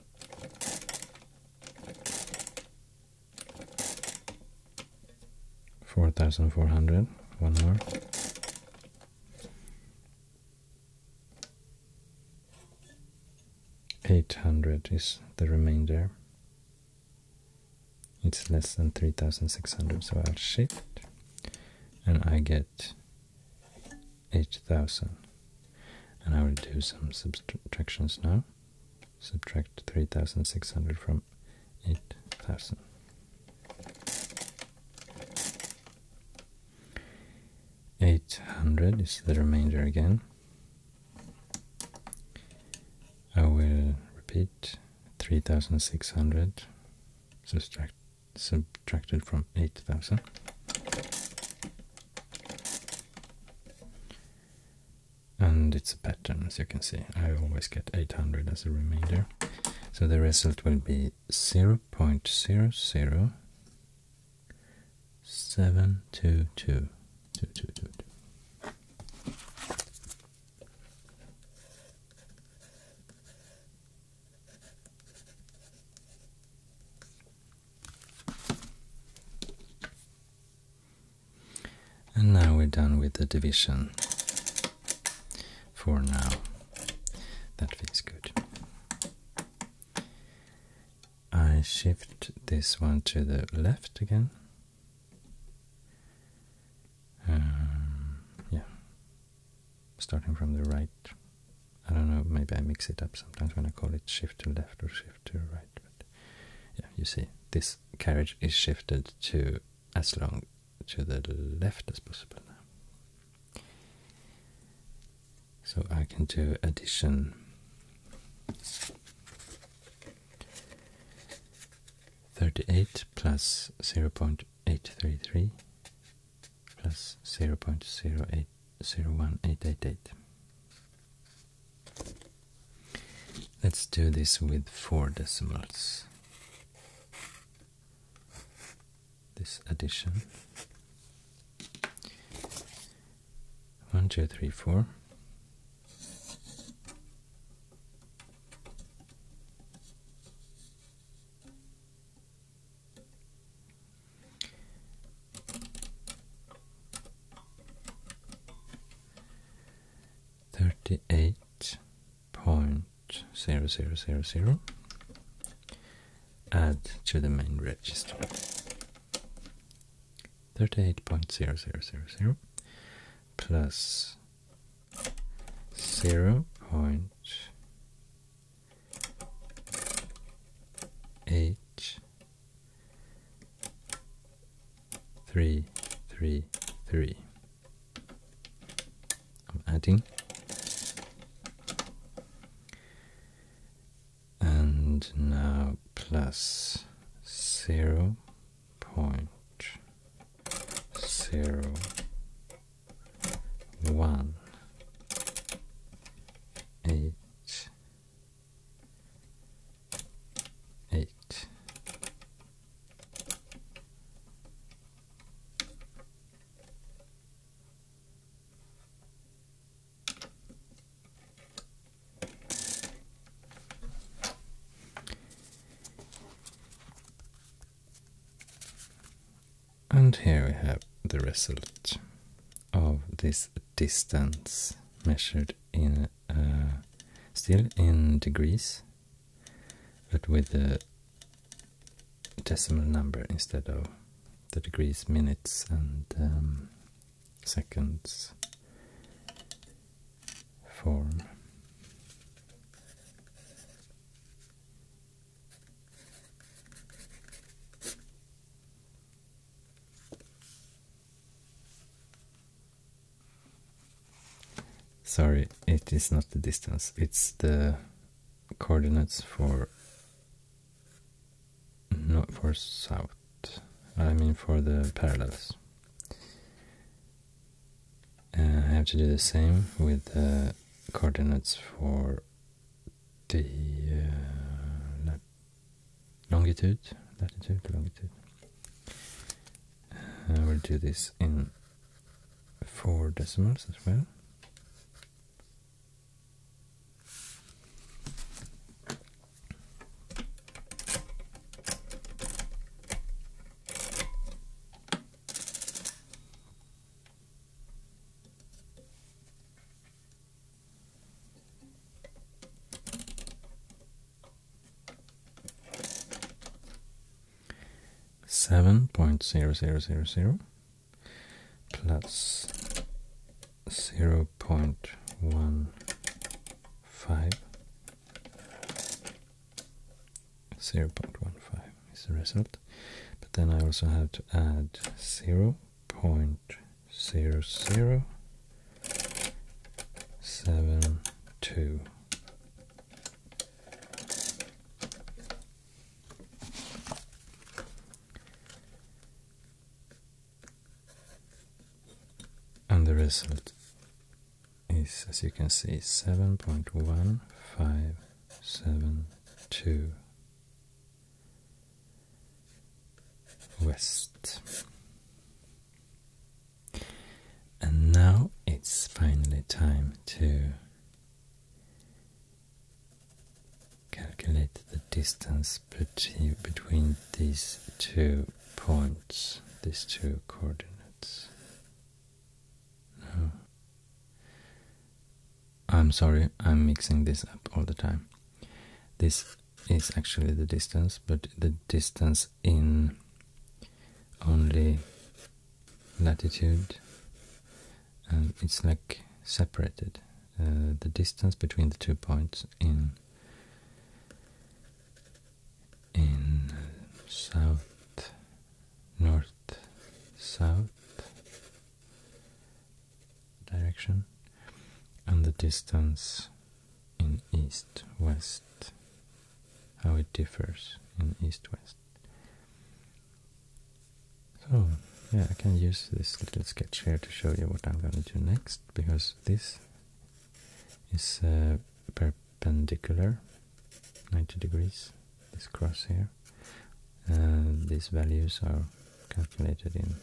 Four thousand four hundred. One more. Eight hundred is the remainder. It's less than three thousand six hundred, so I'll shift, and I get 8000 and I will do some subtractions now subtract 3600 from 8000 800 is the remainder again I will repeat 3600 subtract subtracted from 8000 and it's a pattern, as you can see. I always get 800 as a remainder. So the result will be 0 and now we're done with the division for now. That feels good. I shift this one to the left again. Um, yeah, starting from the right. I don't know, maybe I mix it up sometimes when I call it shift to left or shift to right. But yeah, you see, this carriage is shifted to as long to the left as possible now. So I can do addition. Thirty-eight plus zero point eight three three plus 0 0.01888. Let's do this with four decimals. This addition. One, two, three, four. Thirty-eight point zero zero zero zero. Add to the main register. Thirty-eight point zero zero zero zero plus zero point H three three three. I'm adding and now plus zero point zero one eight eight. And here we have the result of this distance measured in uh, still in degrees but with the decimal number instead of the degrees minutes and um, seconds form Sorry, it is not the distance, it's the coordinates for not for south. I mean for the parallels. Uh, I have to do the same with the coordinates for the uh, longitude, latitude, longitude. Uh, we will do this in four decimals as well. Seven point zero zero zero zero plus zero point one five zero point one five is the result. But then I also have to add zero point zero zero seven two. And the result is, as you can see, seven point one five seven two west. And now it's finally time to calculate the distance between these two points, these two coordinates. No. Oh. I'm sorry, I'm mixing this up all the time. This is actually the distance, but the distance in only latitude um, it's like separated. Uh, the distance between the two points in in south, north, south direction and the distance in east-west, how it differs in east-west. So, yeah, I can use this little sketch here to show you what I'm going to do next, because this is uh, perpendicular, 90 degrees, this cross here. Uh, these values are calculated in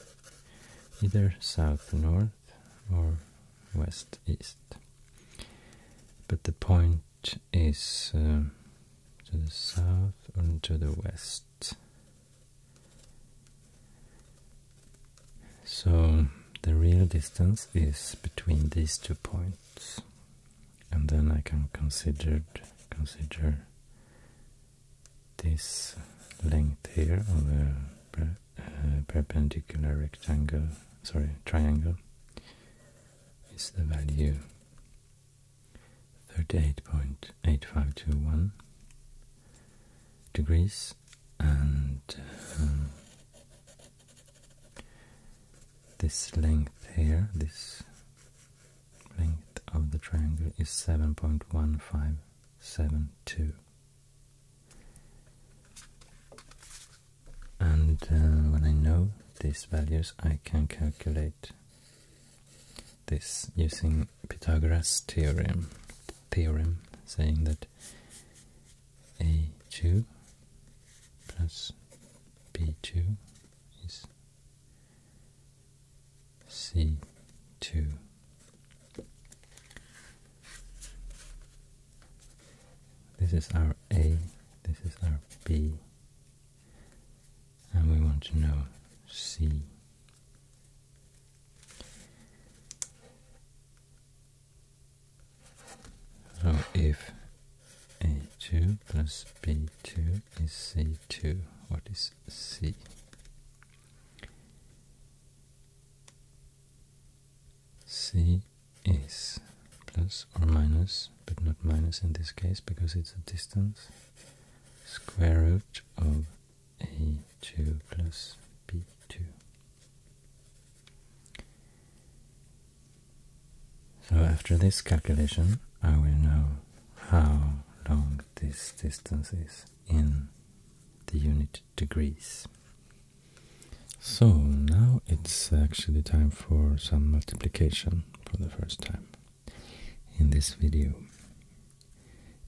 either south north or west east. But the point is um, to the south and to the west. So the real distance is between these two points, and then I can considered, consider this length here of a uh, perpendicular rectangle, sorry, triangle, is the value 38.8521 degrees and um, this length here, this length of the triangle is 7.1572 and uh, when I know these values I can calculate this using Pythagoras theorem theorem saying that a2 plus b2 is C two. This is our A, this is our B, and we want to know C. So if A2 plus B2 is C2, what is C? C is plus or minus, but not minus in this case because it's a distance, square root of A2 plus B2. So after this calculation, I will know how long this distance is in the unit degrees. So now it's actually time for some multiplication for the first time in this video.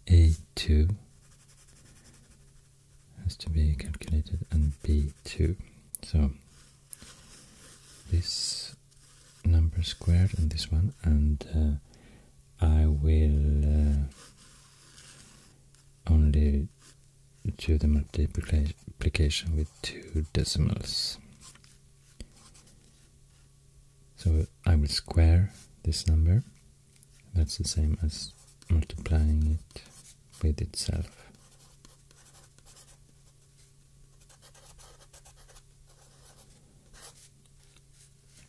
A2 has to be calculated and B2. So this number squared and this one and uh, I will uh, only do the multiplication with two decimals. So I will square this number. That's the same as multiplying it with itself.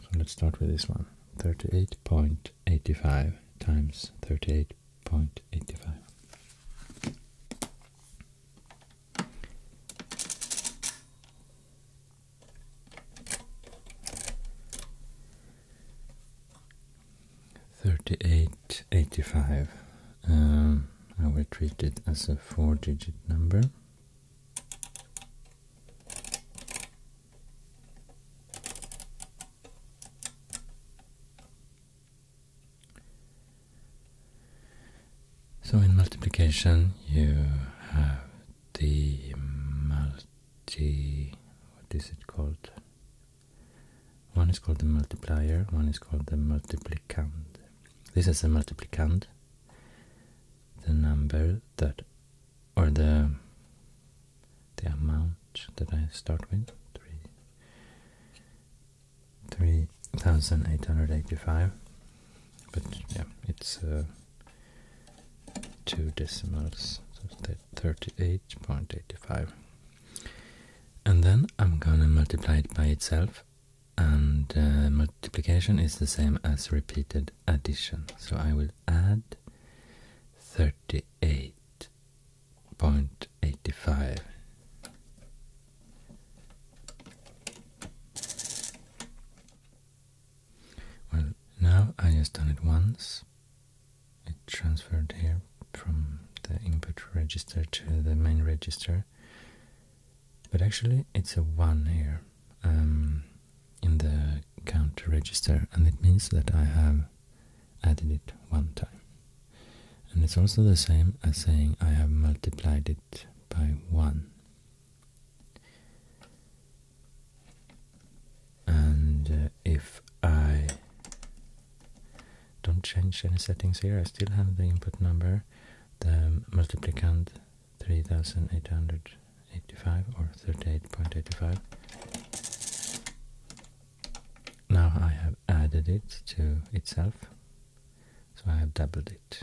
So let's start with this one. 38.85 times 38.85. Thirty-eight eighty-five. Um, I will treat it as a four-digit number. So in multiplication you have the multi what is it called? One is called the multiplier, one is called the multiplicand. This is the multiplicand, the number that or the the amount that I start with, three, 3,885, but yeah, it's uh, two decimals, so 38.85. And then I'm gonna multiply it by itself, and uh, multiplication is the same as repeated addition, so I will add 38.85 well now I just done it once it transferred here from the input register to the main register but actually it's a 1 here um, in the counter register and it means that I have added it one time. And it's also the same as saying I have multiplied it by 1. And uh, if I don't change any settings here, I still have the input number, the multiplicand, 3800 85 or 38.85 now I have added it to itself so I have doubled it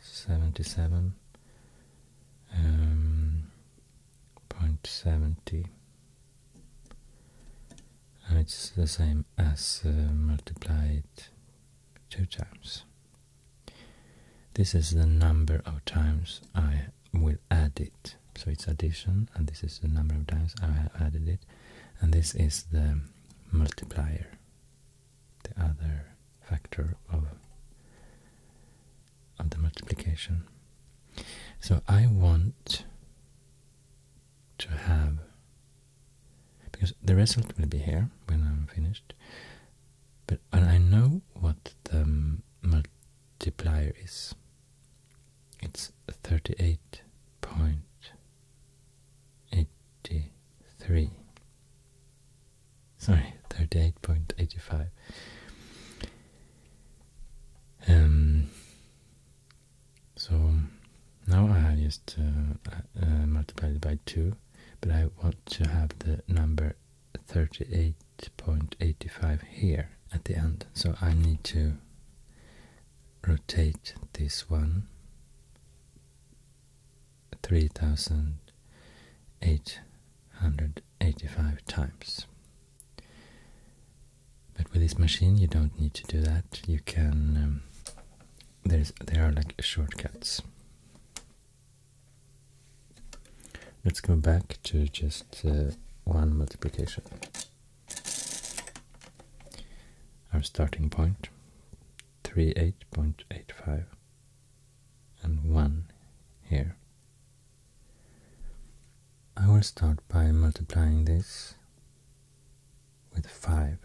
77 um, and it's the same as uh, multiplied two times this is the number of times I we will add it. So it's addition, and this is the number of times I have added it. And this is the multiplier, the other factor of, of the multiplication. So I want to have, because the result will be here when I'm finished, but I know what the multiplier is. It's thirty eight point eighty three. Sorry, thirty eight point eighty five. Um. So now I just uh, uh, multiplied by two, but I want to have the number thirty eight 8.85 here at the end so I need to rotate this one 3885 times but with this machine you don't need to do that you can um, there's there are like shortcuts Let's go back to just uh, one multiplication. Our starting point, 38.85 and 1 here. I will start by multiplying this with 5.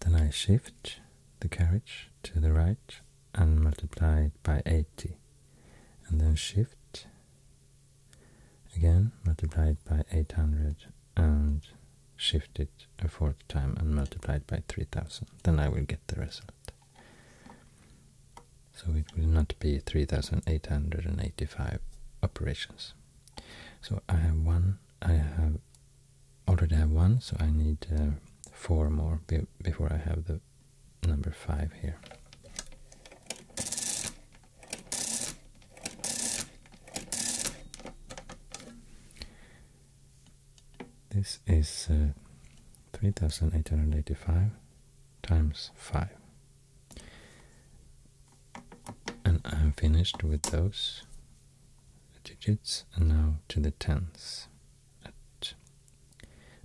Then I shift the carriage to the right and multiply it by 80 and then shift Again, multiply it by 800 and shift it a fourth time and multiply it by 3000. Then I will get the result. So it will not be 3885 operations. So I have one, I have already have one, so I need uh, four more before I have the number five here. This is uh, 3885 times 5. And I'm finished with those digits and now to the tens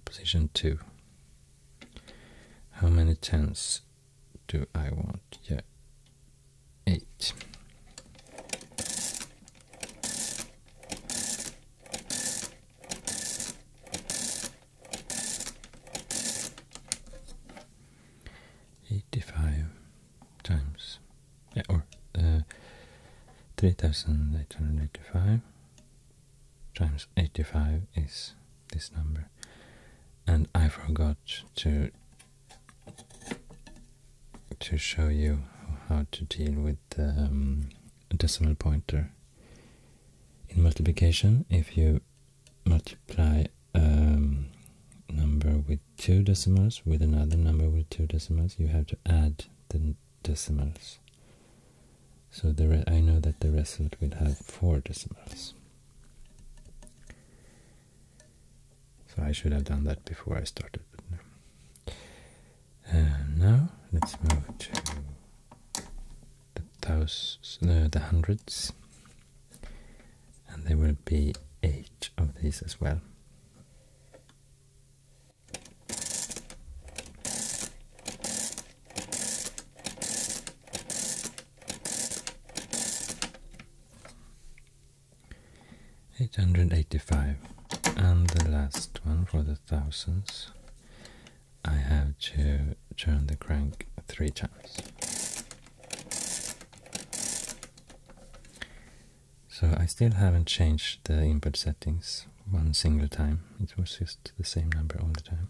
Position 2. How many tens do I want? Yeah, 8. Eighty-five times, yeah, or uh, three thousand eight hundred eighty-five times eighty-five is this number and I forgot to to show you how to deal with the um, decimal pointer in multiplication if you multiply um, number with two decimals with another number with two decimals you have to add the decimals so the I know that the result will have four decimals. So I should have done that before I started. now let's move to the thousands, the hundreds, and there will be eight of these as well. Eight hundred eighty-five, and the last one for the thousands. I have to turn the crank three times. So I still haven't changed the input settings one single time. It was just the same number all the time.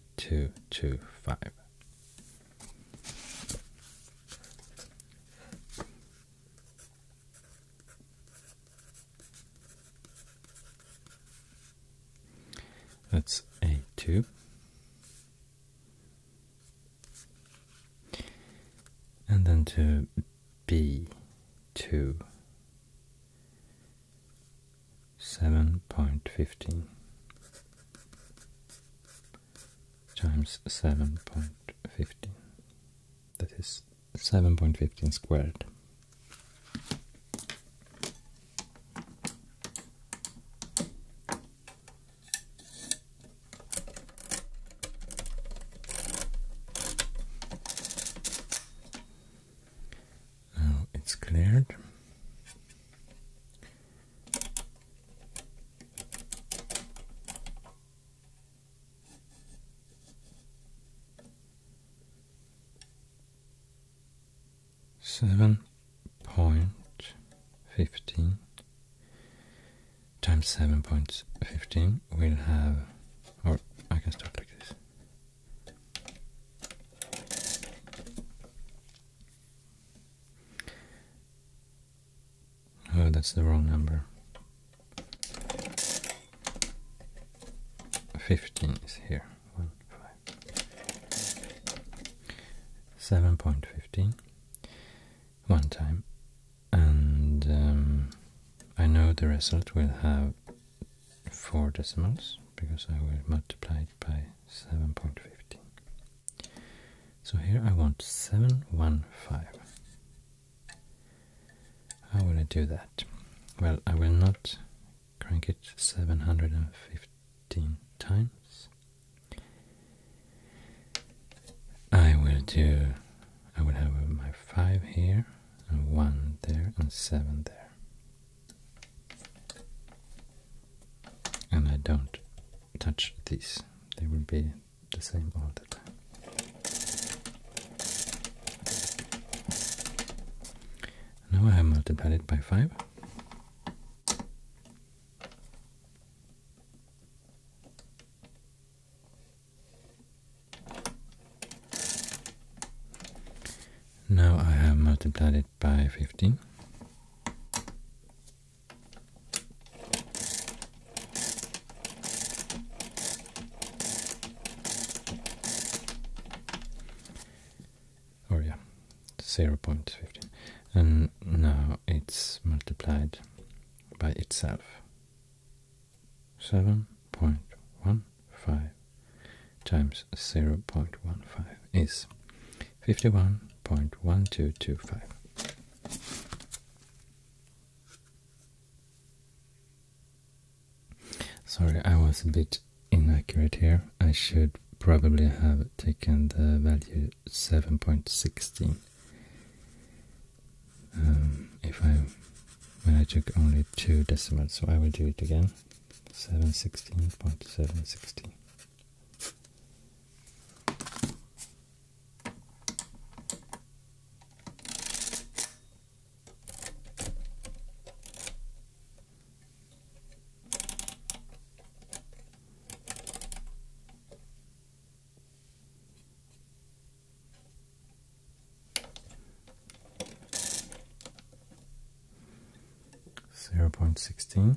3225. That's A2. And then to B2 seven point fifteen times seven point fifteen. That is seven point fifteen squared. Now it's cleared. Seven point fifteen times seven point fifteen will have or I can start like this. Oh, that's the wrong number. 15 is here. 1, 5. 7.15. One time. And um, I know the result will have four decimals because I will multiply it by 7.15. So here I want 715. How will I do that? Well, I will not crank it 715 times. I will do, I will have my 5 here, and 1 there, and 7 there and I don't touch these, they will be the same all the time. Now I have multiplied it by 5. Now I have multiplied it by 15. Oh yeah, 0.15. And now it's multiplied by itself. 7.15 times 0.15 is 51.1225. Sorry, I was a bit inaccurate here. I should probably have taken the value 7.16 um, if I when I took only two decimals, so I will do it again. 7.16. Zero point sixteen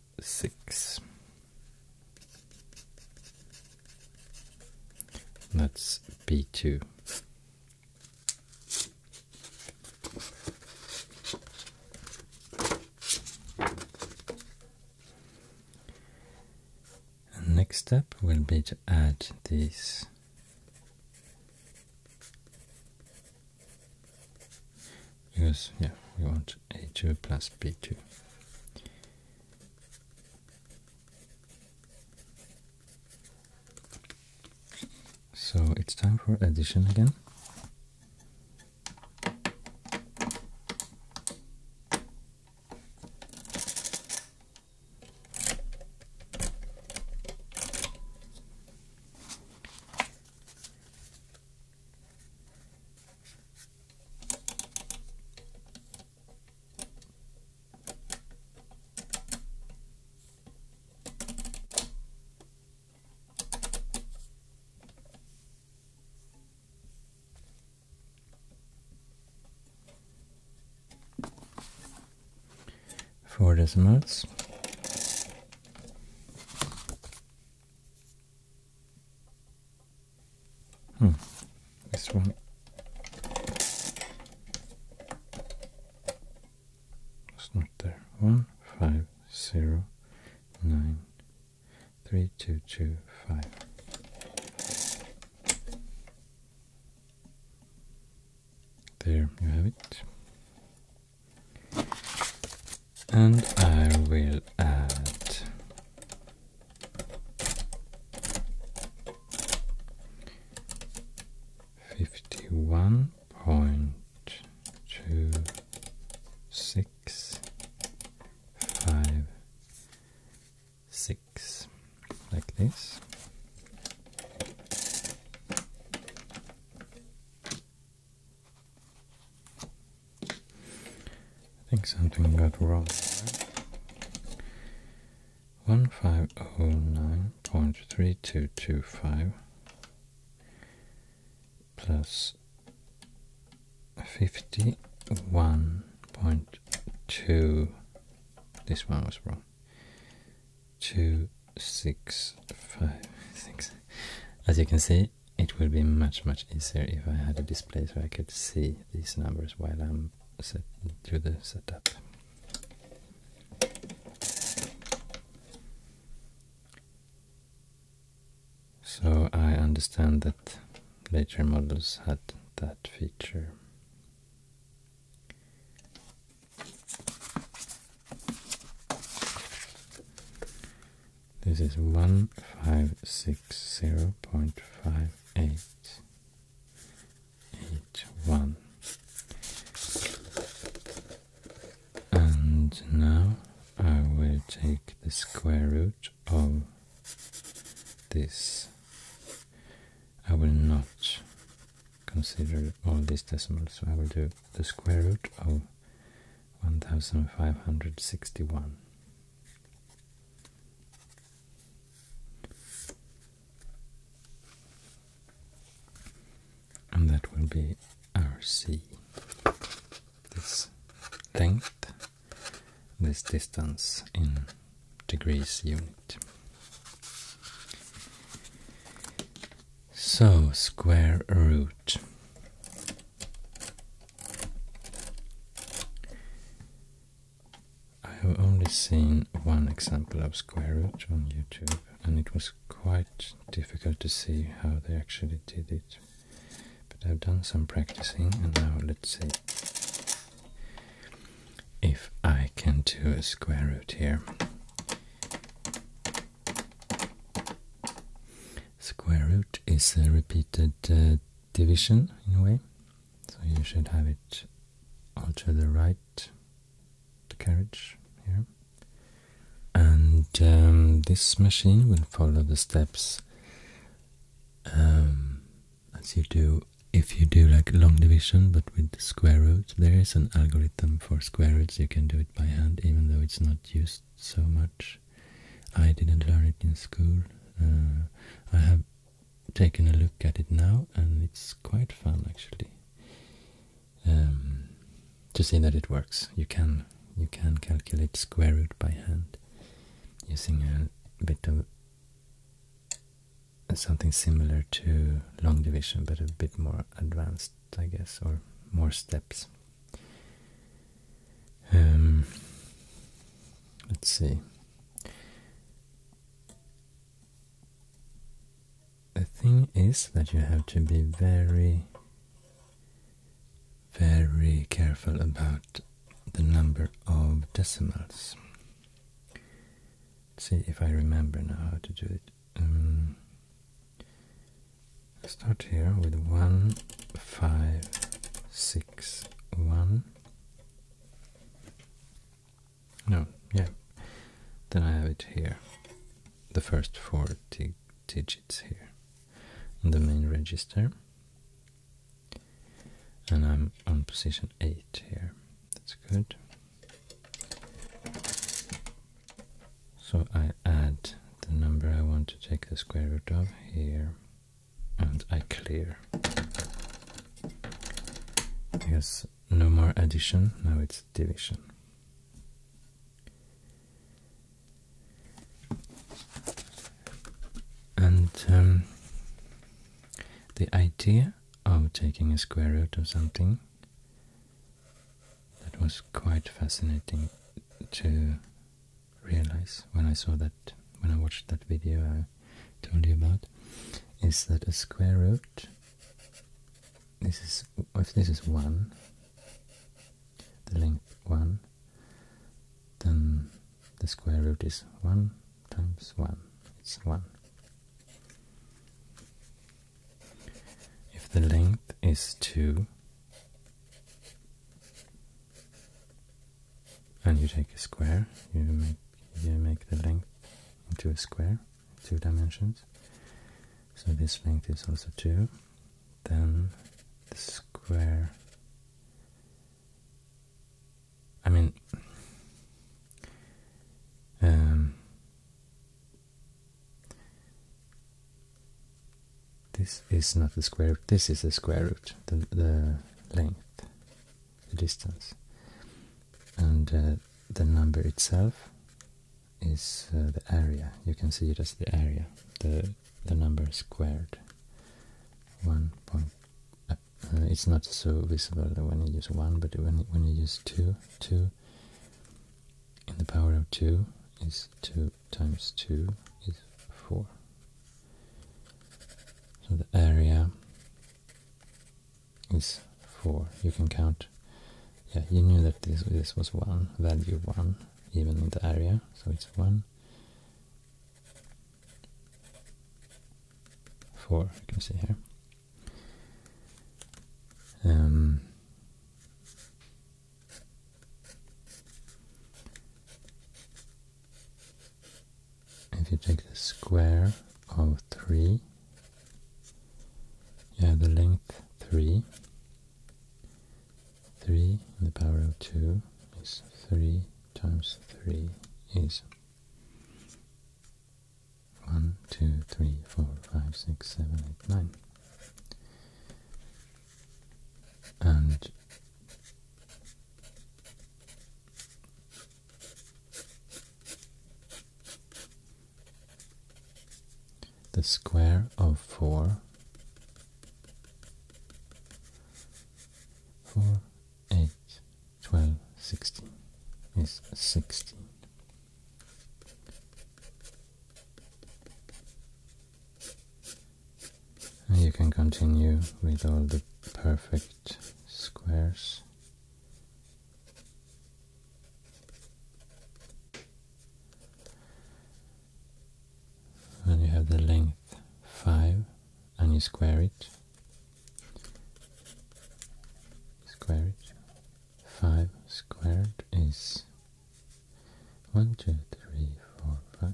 six. That's B2. next step will be to add this because yeah we want a2 plus b2 so it's time for addition again Four decimals. Hmm. This one. It's not there. One five zero nine three two two five. There you have it and I will add fifty one point two six five six like this. I think something got wrong 1509.3225 plus 51.2 this one was wrong Two six five six. as you can see it would be much much easier if I had a display so I could see these numbers while I'm set through the setup. So I understand that later models had that feature. This is 1560.5881. And now I will take the square root of this. I will not consider all these decimals, I will do the square root of 1561. And that will be RC. This length, this distance in degrees unit. So, square root I have only seen one example of square root on YouTube, and it was quite difficult to see how they actually did it. But I've done some practicing, and now let's see if I can do a square root here square root is a repeated uh, division in a way, so you should have it all to the right, the carriage here. And um, this machine will follow the steps um, as you do if you do like long division but with square root. There is an algorithm for square roots, you can do it by hand even though it's not used so much I didn't learn it in school. Uh, I have taken a look at it now, and it's quite fun actually. Um, to see that it works, you can you can calculate square root by hand using a bit of something similar to long division, but a bit more advanced, I guess, or more steps. Um, let's see. The thing is that you have to be very, very careful about the number of decimals. see if I remember now how to do it. Um, Start here with one, five, six, one. No, yeah. Then I have it here. The first four digits here on the main register. And I'm on position 8 here. That's good. So I add the number I want to take the square root of here and I clear. Yes, no more addition, now it's division. And um, the idea of taking a square root of something that was quite fascinating to realize when I saw that, when I watched that video I told you about, is that a square root, this is, if this is 1, the length 1, then the square root is 1 times 1, it's 1. If the length is 2, and you take a square you make you make the length into a square two dimensions so this length is also two then the square I mean um, this is not the square root, this is the square root, the, length, the distance. And uh, the number itself is uh, the area. You can see it as the area, the, the number squared. One point. Uh, it's not so visible when you use one, but when when you use two, two in the power of two is two times 2 is 4. So the area is 4. You can count. Yeah, you knew that this, this was 1, value 1, even in the area, so it's 1. 4, you can see here. Um, if you take the square of 3, you have the length 3. 3 in the power of 2 is 3 times 3 is 1, 2, 3, 4, 5, 6, 7, 8, 9. And the square of four, four, eight, twelve, sixteen is sixteen and you can continue with all the perfect squares and you have the length 5 and you square it square it 5 squared is 1, 2, 3, 4, 5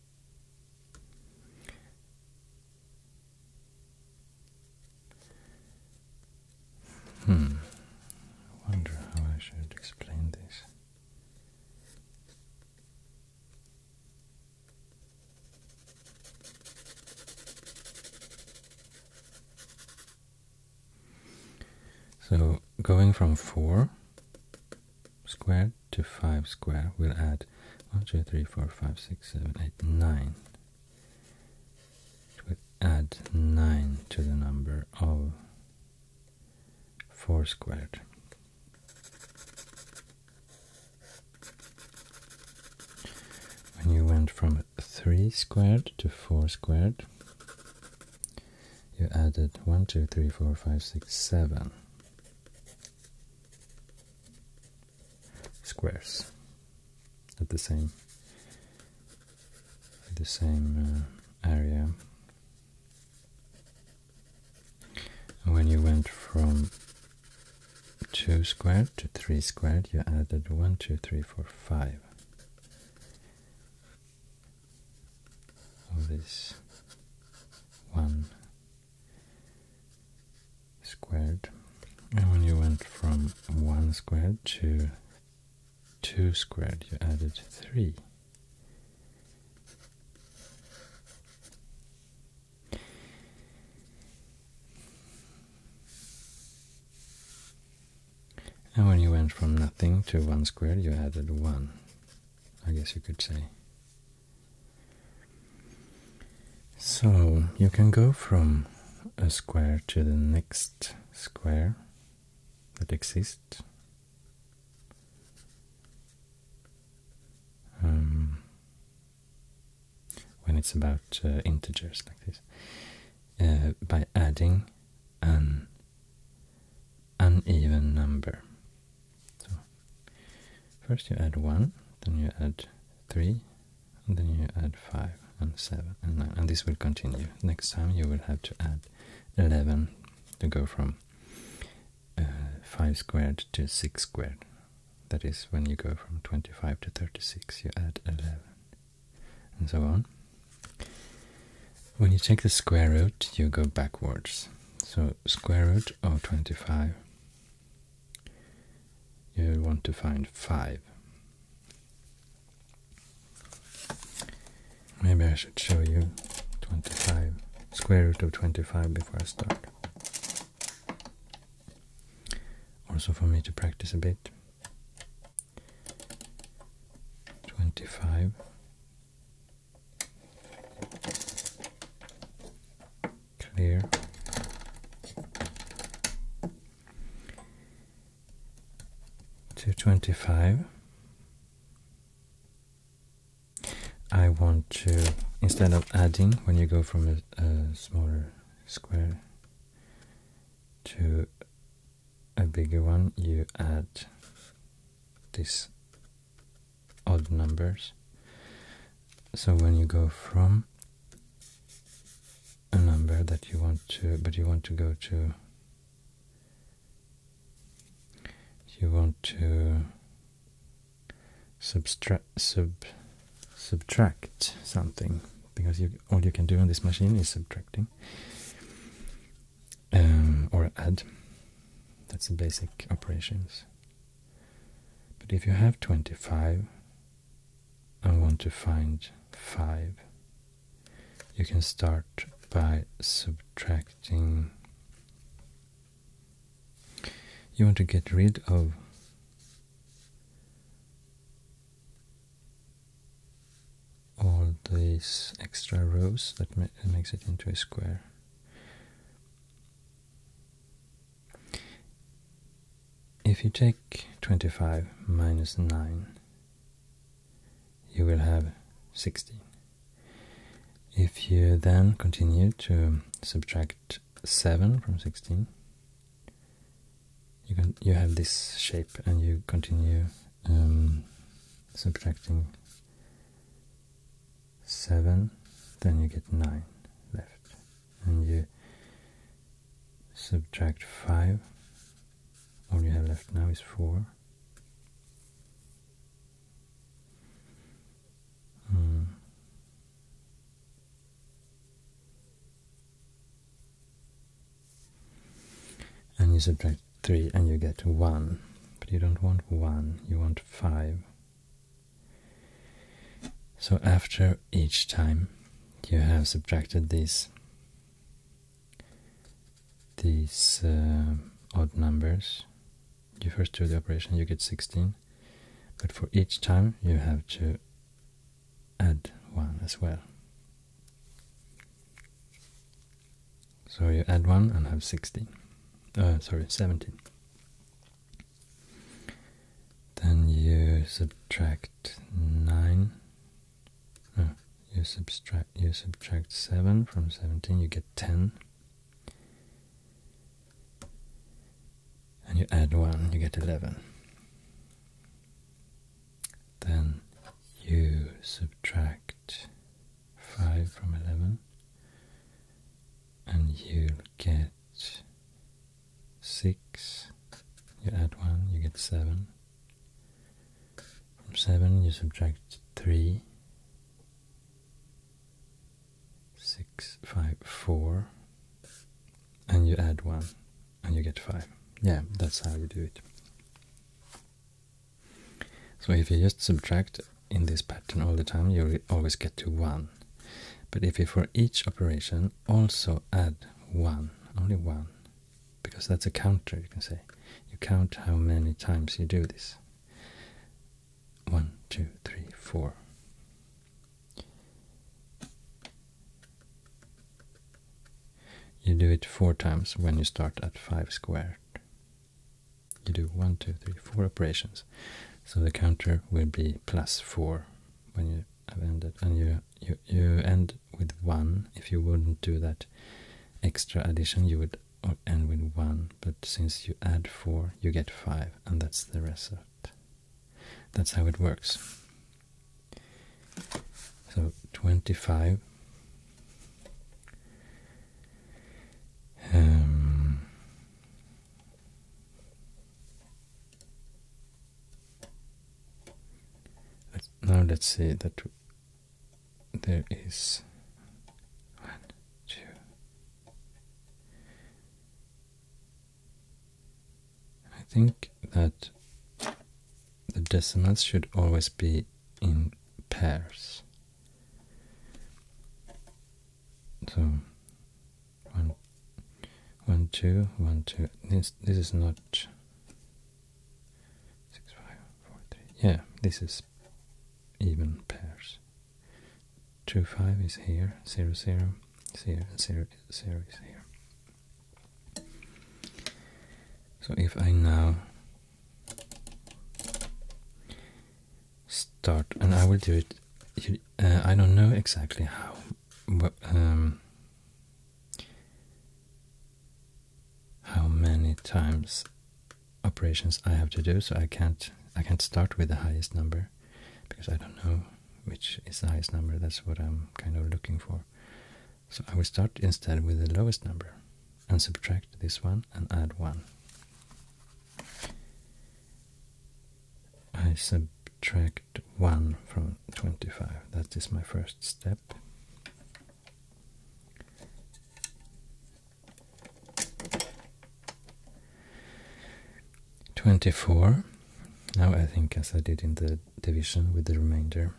Hmm. I wonder how I should explain this. So, going from four squared to 5 squared, we'll add 1, 2, 3, 4, 5, 6, 7, 8, 9. We'll add 9 to the number of 4 squared. When you went from 3 squared to 4 squared, you added 1, 2, 3, 4, 5, 6, 7 squares at the same the same uh, area when you went from 2 squared to 3 squared you added 1 2 3 4 5 1 squared and when you went from 1 squared to 2 squared you added 3 and when you went from nothing to 1 squared you added 1 I guess you could say so you can go from a square to the next square that exists. Um, when it's about uh, integers like this, uh, by adding an uneven number so first you add one, then you add three, and then you add five and seven and nine, and this will continue. Next time you will have to add eleven to go from uh, five squared to six squared. That is when you go from twenty-five to thirty-six. You add eleven, and so on. When you take the square root, you go backwards. So square root of 25 you want to find five. Maybe I should show you 25, square root of 25 before I start. Also for me to practice a bit. 25 clear two twenty five. I want to instead of adding when you go from a smaller square to a bigger one you add this odd numbers. So when you go from a number that you want to, but you want to go to, you want to subtract, something because all you can do on this machine is subtracting um, or add. That's the basic operations. But if you have 25 and want to find 5, you can start by subtracting. You want to get rid of all these extra rows that ma makes it into a square. If you take 25 minus 9, you will have 16. If you then continue to subtract 7 from 16, you, can, you have this shape and you continue um, subtracting seven, then you get nine left, and you subtract five. All you have left now is four. Hmm. And you subtract 3 and you get 1. But you don't want 1, you want 5. So, after each time you have subtracted these these uh, odd numbers, you first do the operation, you get 16, but for each time you have to add one as well. So you add one and have 16, uh, sorry, 17. Then you subtract nine. Oh, you subtract you subtract seven from seventeen. You get ten. And you add one, you get eleven. Then you subtract five from eleven, and you get six, you add one, you get seven. From seven, you subtract three. Six, five, four. and you add one, and you get five. Yeah, that's how you do it. So if you just subtract in this pattern all the time, you always get to one. But if you, for each operation also add one, only one, because that's a counter, you can say. You count how many times you do this. One, two, three, four. You do it four times when you start at five squared. You do one, two, three, four operations. So the counter will be plus four when you have ended, and you you you end with one. If you wouldn't do that extra addition, you would end with one. But since you add four, you get five, and that's the result. That's how it works. So twenty-five. Um, now let's see that there is one, two. I think that the decimals should always be in pairs. So one one two one two this this is not six five four three yeah this is even pairs two five is here zero zero zero zero zero is here so if I now start and I will do it uh, I don't know exactly how um, how many times operations I have to do so I can't I can't start with the highest number because I don't know which is the highest number that's what I'm kind of looking for so I will start instead with the lowest number and subtract this one and add one I subtract 1 from 25. That is my first step. Twenty-four. Now I think as I did in the division with the remainder.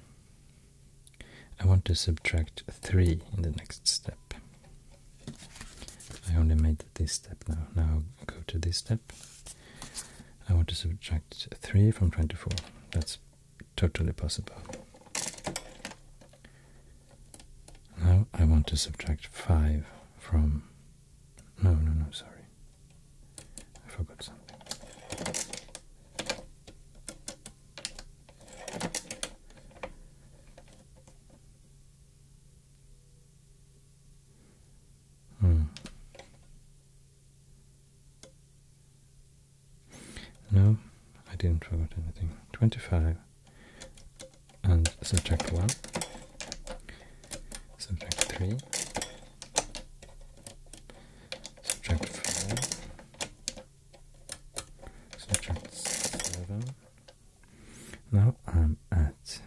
I want to subtract 3 in the next step. I only made this step now. Now go to this step. I want to subtract 3 from 24. That's totally possible. Now I want to subtract 5 from... No, no, no, sorry. I forgot something. Hmm. No, I didn't forget anything. 25 and subtract 1, subtract 3, subtract 4, subtract 7. Now I'm at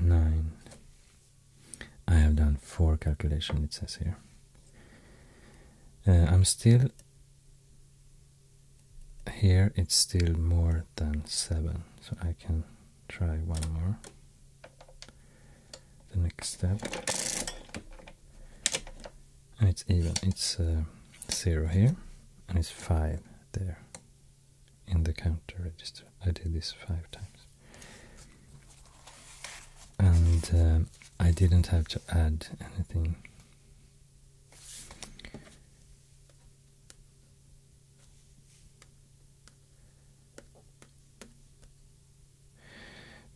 nine. I have done four calculations, it says here. Uh, I'm still here, it's still more than seven, so I can try one more. The next step, and it's even, it's uh, zero here, and it's five there in the counter register. I did this five times. And um, I didn't have to add anything.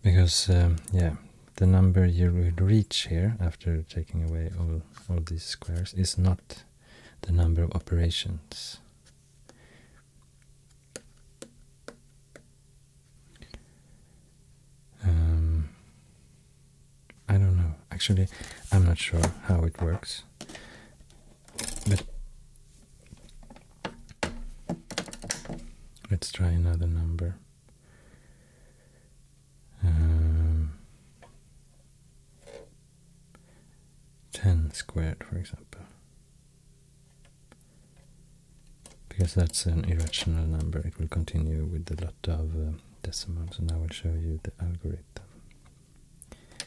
Because, um, yeah, the number you would reach here after taking away all, all these squares is not the number of operations um, I don't know. Actually, I'm not sure how it works. But let's try another number. Um, 10 squared, for example. Because that's an irrational number, it will continue with a lot of uh, decimals, and I will show you the algorithm.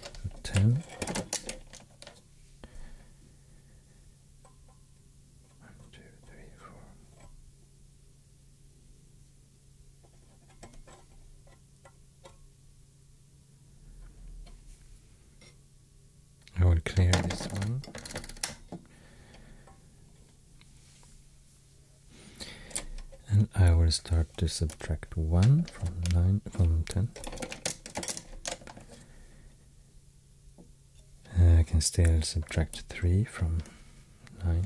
So 10 I will clear this one. And I will start to subtract 1 from 9 from 10. I can still subtract 3 from 9.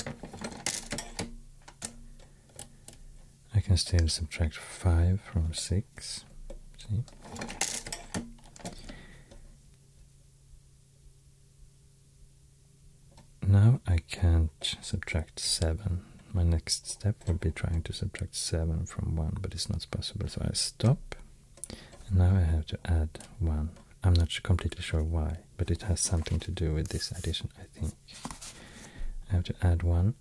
I can still subtract 5 from 6. Now I can't subtract 7. My next step would be trying to subtract 7 from 1, but it's not possible, so I stop. now I have to add 1. I'm not completely sure why, but it has something to do with this addition, I think. I have to add one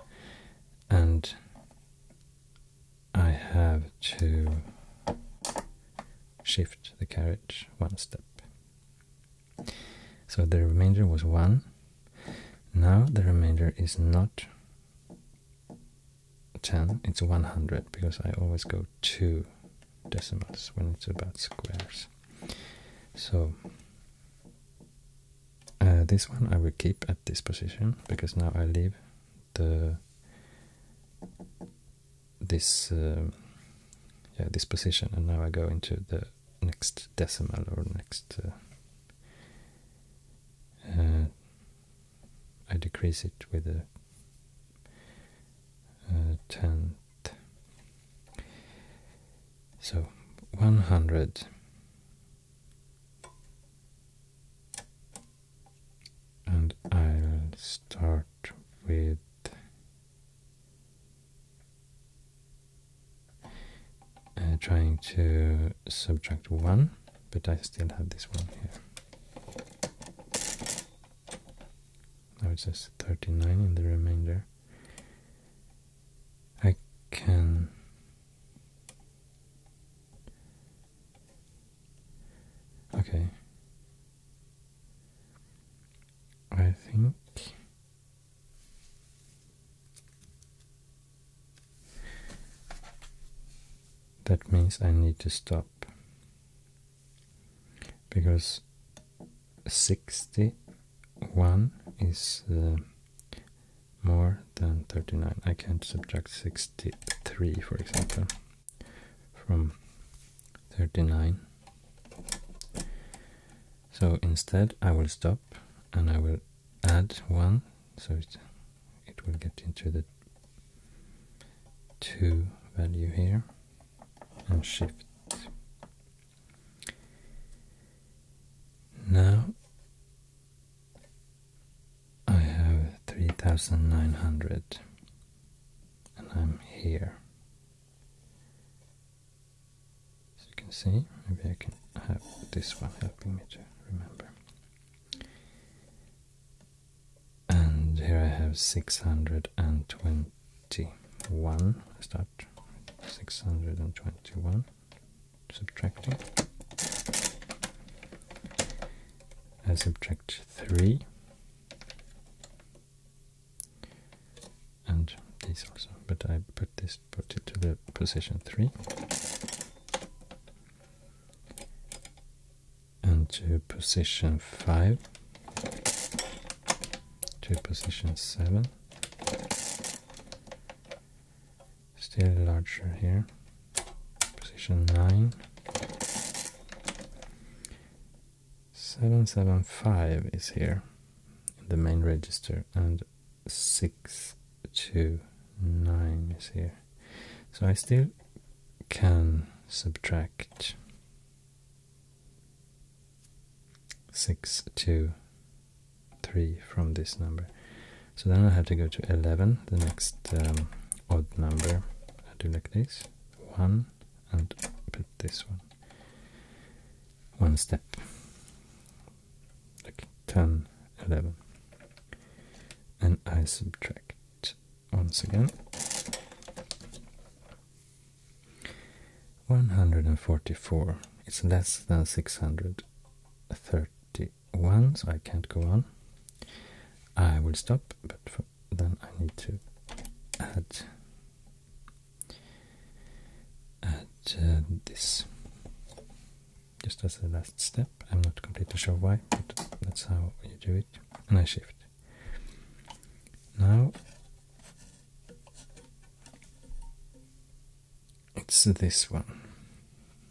and I have to shift the carriage one step. So the remainder was one. Now the remainder is not 10, it's 100 because I always go two decimals when it's about squares. So uh, this one I will keep at this position because now I leave the this um, yeah this position and now I go into the next decimal or next uh, uh, I decrease it with a tenth so 100 and I'll start with uh, trying to subtract one, but I still have this one here. Now it says 39 in the remainder. I can Okay. I think that means I need to stop because 61 is uh, more than 39. I can't subtract 63, for example, from 39. So instead I will stop and I will add 1, so it, it will get into the 2 value here, and shift. Now I have 3900 and I'm here. As you can see, maybe I can have this one helping me to remember. And here I have 621. let start. 621 subtracting. I uh, subtract 3 and this also, but I put this put it to the position 3 and to position 5 to position 7 still larger here position 9 775 is here in the main register and 629 is here so I still can subtract 6 to 3 from this number. So then I have to go to 11, the next um, odd number. I do like this, 1 and put this one. One step. Like 10, 11. And I subtract once again. 144. It's less than 630. 1, so I can't go on. I will stop, but then I need to add, add uh, this just as the last step. I'm not completely sure why, but that's how you do it. And I shift. Now it's this one.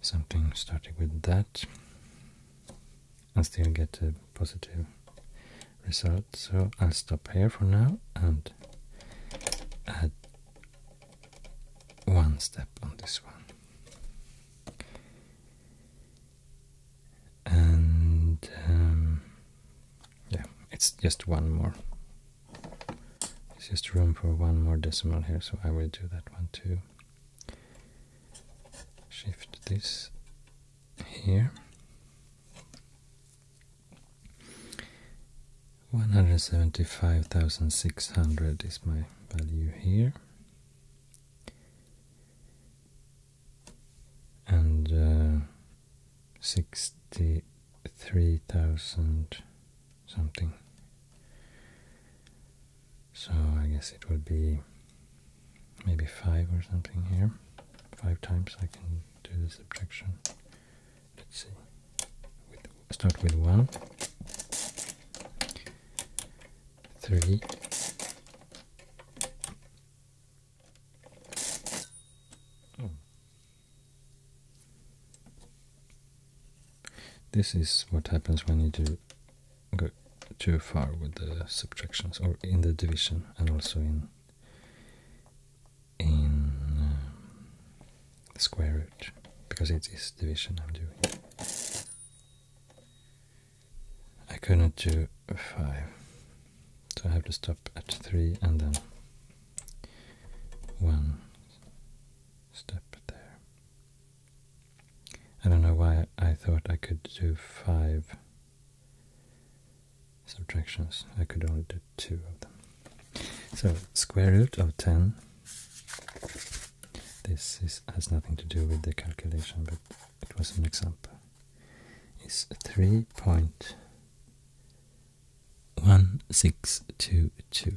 something starting with that and still get a positive result. So I'll stop here for now and add one step on this one. And um, yeah, it's just one more there's just room for one more decimal here, so I will do that one too. Shift this here. 175,600 is my value here. And uh, 63,000 something. So I guess it would be maybe 5 or something here. 5 times I can do this subtraction. Let's see. start with 1. 3. Hmm. This is what happens when you do go too far with the subtractions, or in the division, and also in in uh, square root, because it is division I'm doing. I couldn't do five, so I have to stop at three and then one step there. I don't know why I thought I could do five subtractions. I could only do two of them. So square root of 10. This has nothing to do with the calculation, but it was an example. Is 3.1622.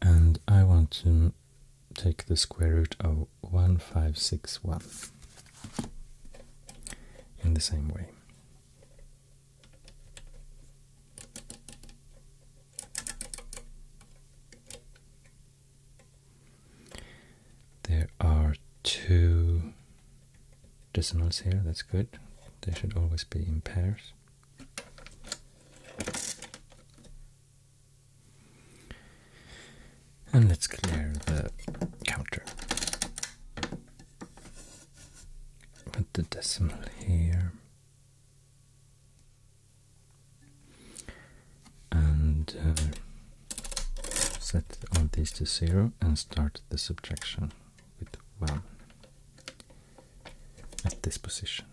and I want to take the square root of 1561 in the same way. There are two decimals here, that's good. They should always be in pairs. And let's clear the counter. Put the decimal here. And uh, set all these to zero and start the subtraction with one at this position.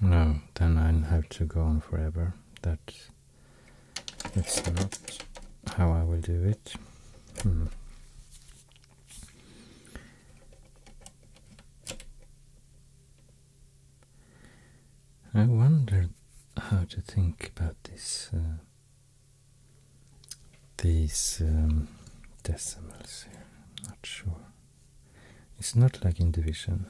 No, then I'll have to go on forever. That's, that's not how I will do it. Hmm. I wonder how to think about this uh, these um, decimals here. I'm not sure. It's not like in division.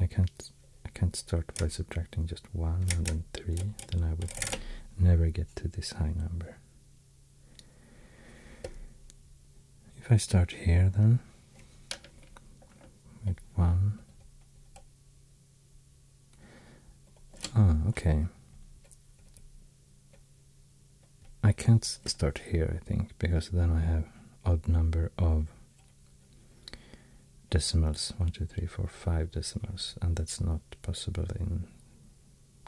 I can't I can't start by subtracting just one and then three. Then I would never get to this high number. If I start here then with one Ah, okay. I can't start here, I think, because then I have odd number of decimals, 1, 2, 3, 4, 5 decimals, and that's not possible in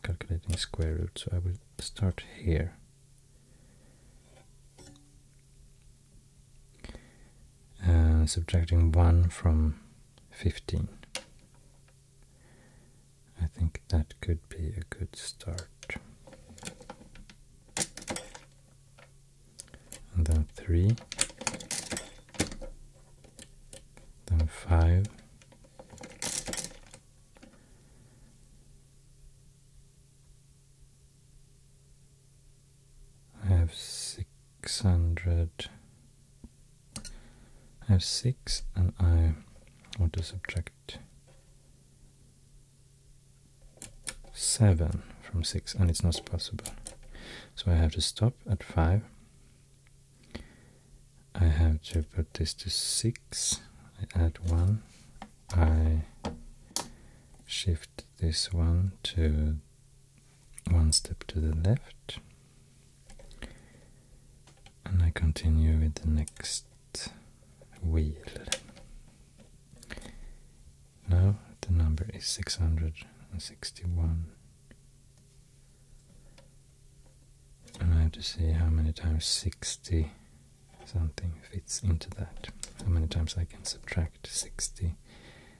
calculating square root, so I will start here uh, subtracting 1 from 15. I think that could be a good start. And then 3, then 5, I have six 600 I have 6 and I want to subtract 7 from 6 and it's not possible so I have to stop at 5 I have to put this to 6 I add 1 I shift this one to one step to the left and I continue with the next wheel. Now the number is 661 and I have to see how many times 60 something fits into that. How many times I can subtract 60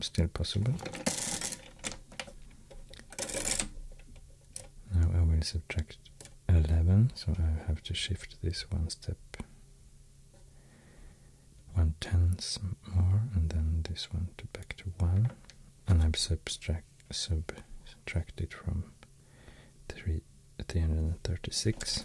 still possible. Now I will subtract 11, so I have to shift this one step, one tenth more, and then this one to back to 1, and I've subtract, subtracted from 3, 336.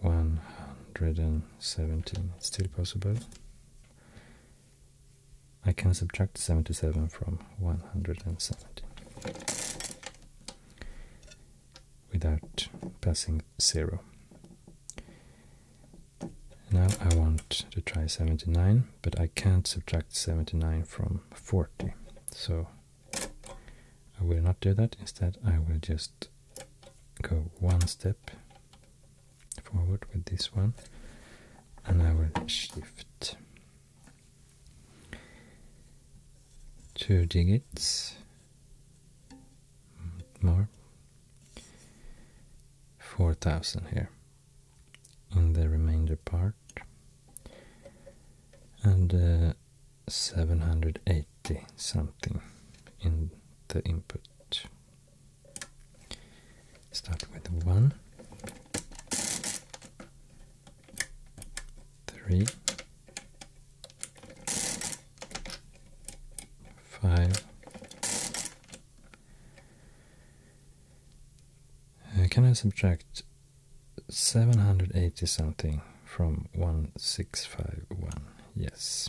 117. It's still possible. I can subtract 77 from one hundred and seventy without passing 0. Now I want to try 79, but I can't subtract 79 from 40. So I will not do that. Instead, I will just go one step forward with this one and I will shift two digits more 4000 here in the remainder part and uh, seven hundred eight something in the input. Start with one, three, five. Uh, can I subtract 780 something from 1651? Yes.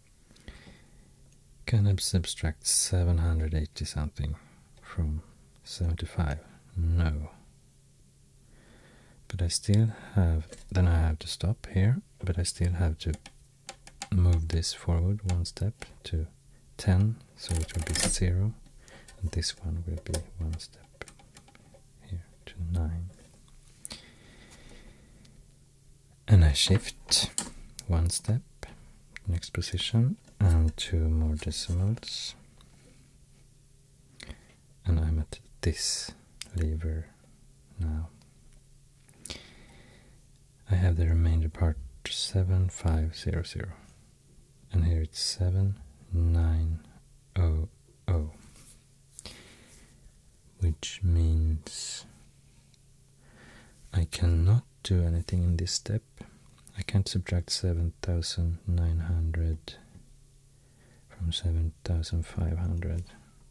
Can I subtract 780 something from 75? No. But I still have, then I have to stop here, but I still have to move this forward one step to 10, so it will be 0, and this one will be one step here to 9 and I shift one step, next position, and two more decimals, and I'm at this lever now. I have the remainder part 7500, and here it's 7900, which means I cannot do anything in this step. I can't subtract 7,900 from 7,500.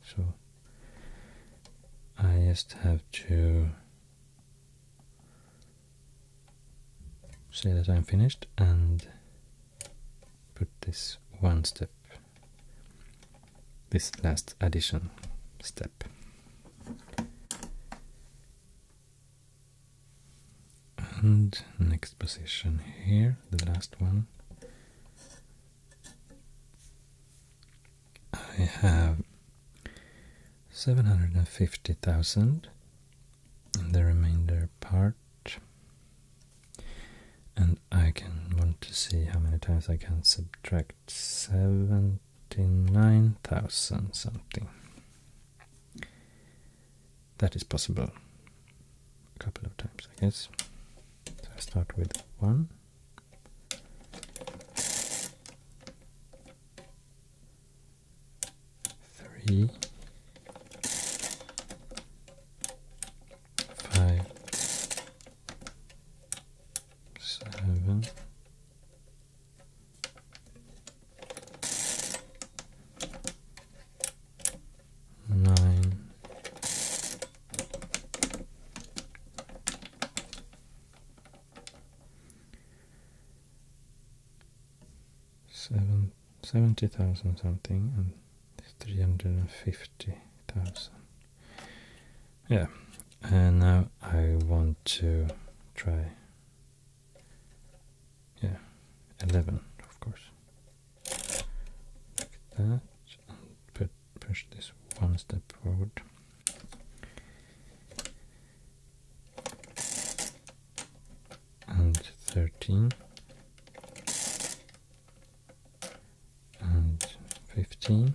So I just have to say that I'm finished and put this one step, this last addition step. And next position here, the last one. I have 750,000 in the remainder part and I can want to see how many times I can subtract 79,000 something. That is possible a couple of times, I guess. So I start with 1. Three, five, seven, nine seven seventy thousand something and three hundred and fifty thousand yeah and now I want to try yeah 11 of course like that put, push this one step forward and 13 and 15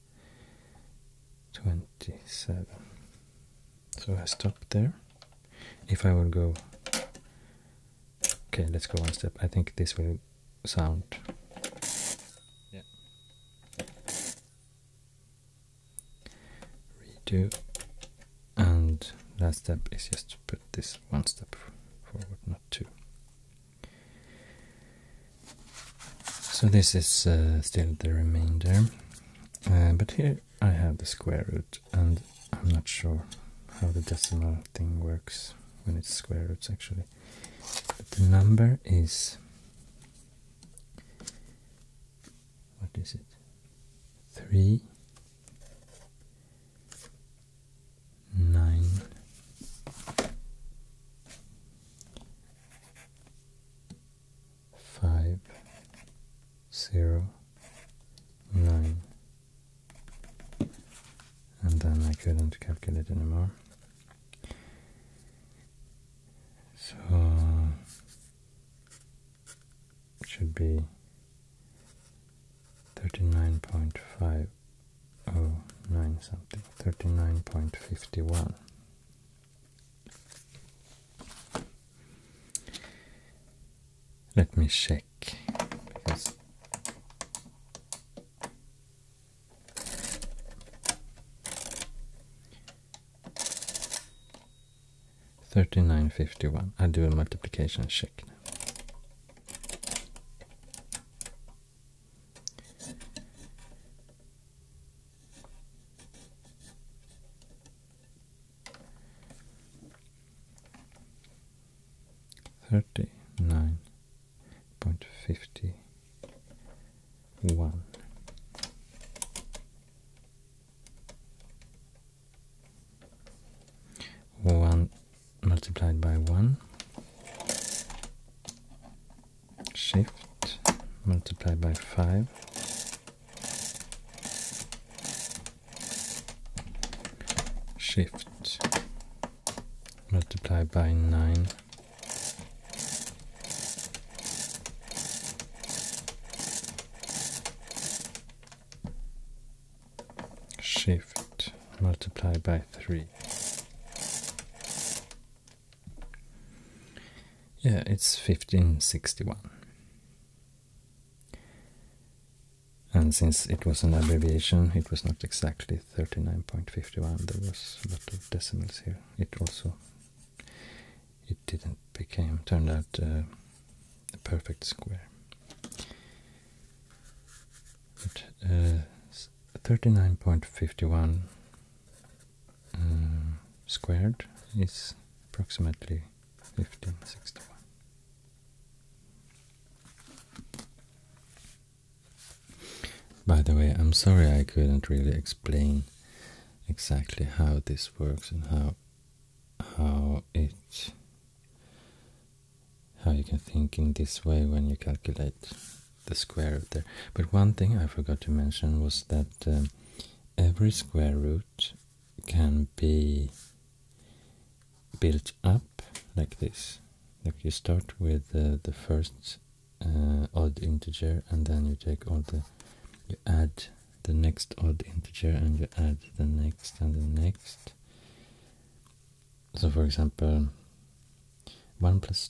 27 so I stop there if I will go okay let's go one step I think this will sound yeah redo and last step is just to put this one step forward not two so this is uh, still the remainder, uh, but here I have the square root, and I'm not sure how the decimal thing works when it's square roots actually. the number is what is it? Three nine five zero nine and then I couldn't calculate anymore so should be thirty nine point five oh nine something thirty nine point fifty one let me check thirty nine fifty one. I do a multiplication check now. Thirty nine point fifty one. One multiplied by one shift multiply by 5 shift multiply by 9 shift multiply by 3 yeah, it's 1561. And since it was an abbreviation, it was not exactly 39.51. There was a lot of decimals here. It also, it didn't became, turned out a uh, perfect square. Uh, 39.51 uh, squared is approximately 1561. By the way, I'm sorry I couldn't really explain exactly how this works and how how it how you can think in this way when you calculate the square root there. But one thing I forgot to mention was that um, every square root can be built up like this. Like you start with the first uh, odd integer and then you take all the, you add the next odd integer and you add the next and the next. So for example, 1 plus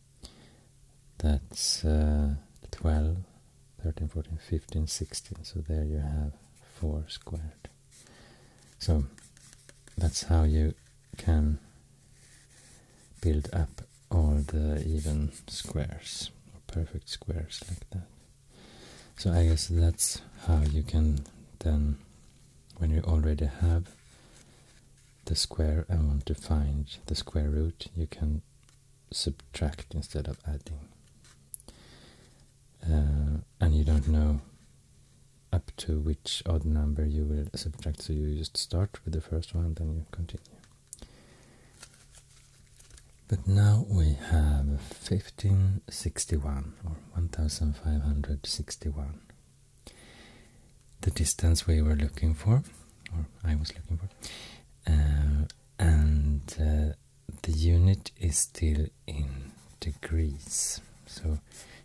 That's uh, 12, 13, 14, 15, 16. So there you have 4 squared. So that's how you can build up all the even squares or perfect squares like that. So I guess that's how you can then, when you already have the square and want to find the square root, you can subtract instead of adding. Uh, and you don't know up to which odd number you will subtract, so you just start with the first one, then you continue. But now we have 1561 or 1561, the distance we were looking for or I was looking for. Uh, and uh, the unit is still in degrees. So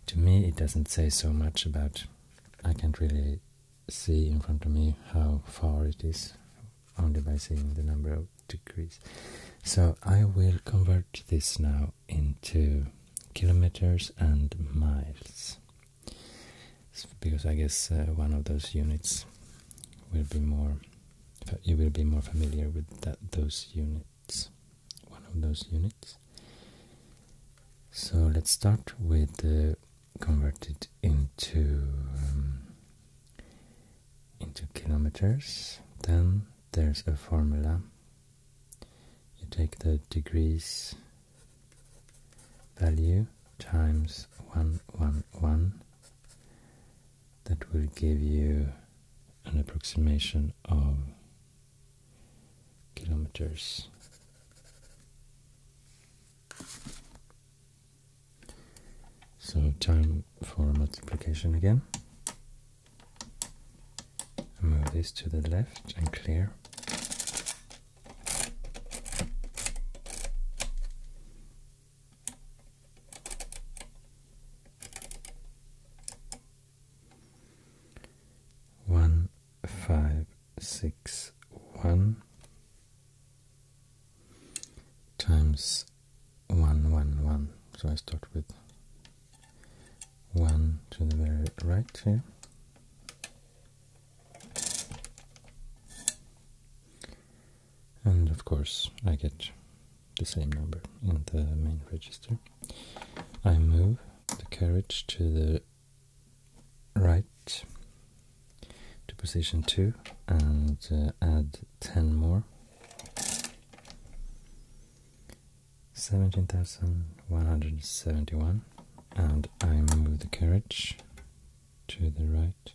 to me, it doesn't say so much about. I can't really see in front of me how far it is only by seeing the number of degrees. So I will convert this now into kilometers and miles because I guess uh, one of those units will be more you will be more familiar with that those units one of those units so let's start with uh, converted into um, into kilometers then there's a formula you take the degrees value times 111 that will give you an approximation of kilometers. So time for multiplication again. Move this to the left and clear. One five six one times one one one. So I start with one to the very right here and of course, I get the same number in the main register. I move the carriage to the right to position 2 and uh, add 10 more. 17,171 and I move the carriage to the right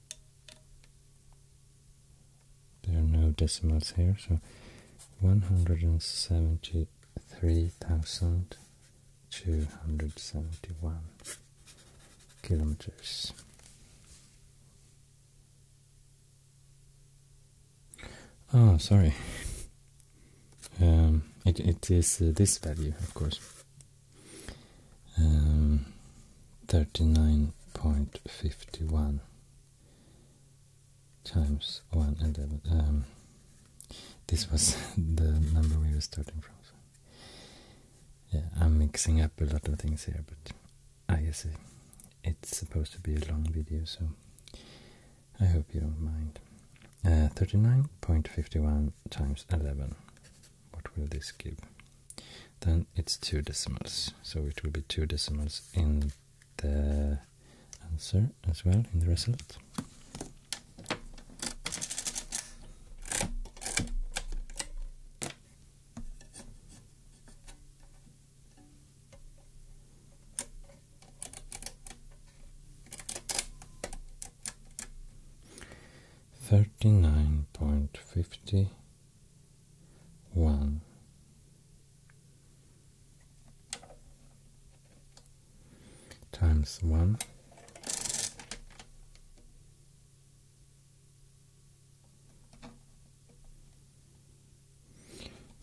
There are no decimals here, so 173,271 kilometers. Oh, sorry. Um, it, it is uh, this value, of course um, 39.51 times 1 and um, this was the number we were starting from yeah i'm mixing up a lot of things here but i guess it's supposed to be a long video so i hope you don't mind uh, 39.51 times 11 what will this give then it's two decimals. So it will be two decimals in the answer as well, in the result. Thirty nine point fifty one. Times one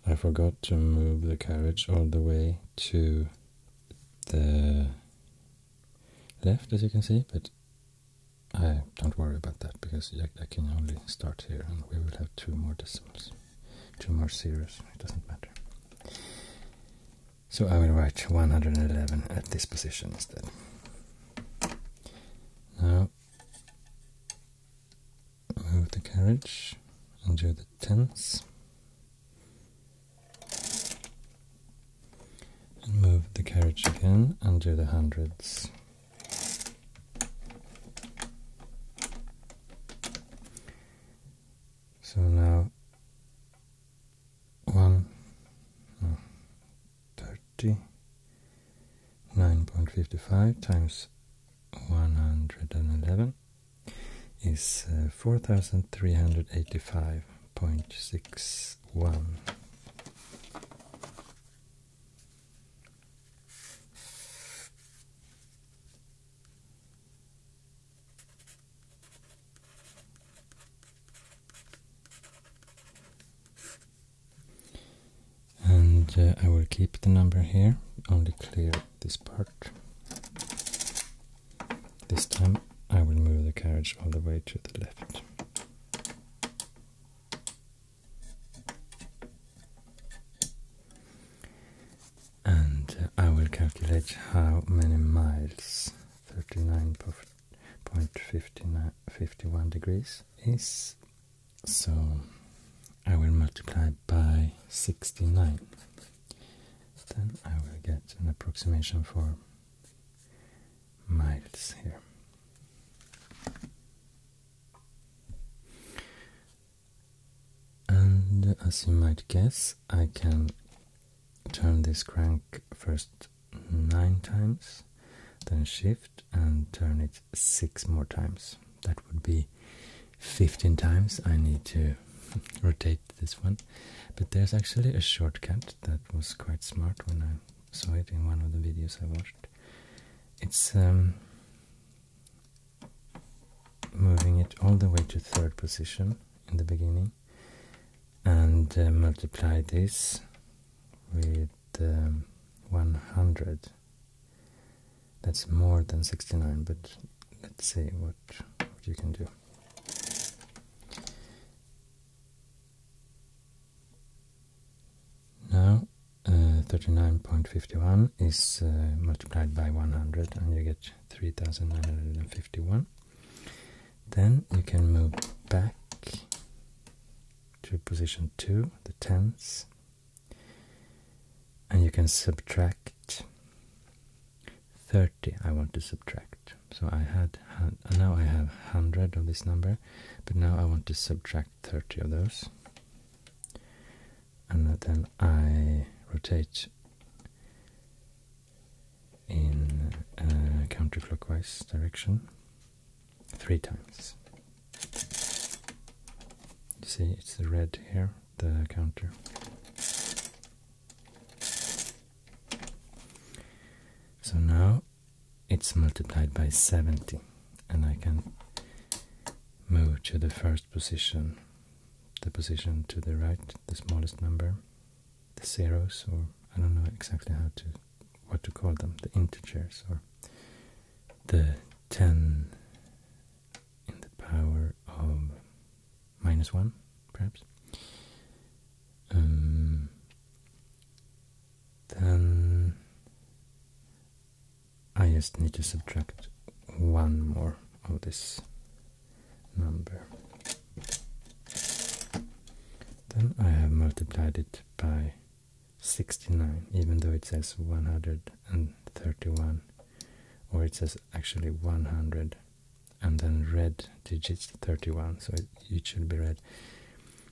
I forgot to move the carriage all the way to the left as you can see, but I don't worry about that because I, can only start here and we will have two more decimals, two more zeros, it doesn't matter. So I will write 111 at this position instead. Now move the carriage and the tens move the carriage again and do the hundreds. So now one no, thirty nine point fifty five times one hundred and eleven is uh, four thousand three hundred eighty five point six one. And uh, I will keep the number here, only clear this part. This time I will move the carriage all the way to the left. And uh, I will calculate how many miles 39.51 degrees is. So I will multiply by 69. Then I will get an approximation for miles here. And as you might guess, I can turn this crank first nine times, then shift and turn it six more times. That would be 15 times. I need to rotate this one, but there's actually a shortcut that was quite smart when I saw it in one of the videos I watched. It's um, moving it all the way to third position in the beginning and uh, multiply this with um, 100. That's more than 69, but let's see what, what you can do. Now uh, 39.51 is uh, multiplied by 100 and you get 3951. Then you can move back to position 2, the tens, and you can subtract 30 I want to subtract. So I had and now I have 100 of this number but now I want to subtract 30 of those and then I rotate in a counterclockwise direction three times see it's the red here the counter so now it's multiplied by 70 and I can move to the first position, the position to the right, the smallest number, the zeros or I don't know exactly how to what to call them, the integers or the 10 in the power of minus 1 perhaps. Um, then I just need to subtract one more of this number. Then I have multiplied it by 69, even though it says 131, or it says actually 100, and then red digits 31, so it, should be red.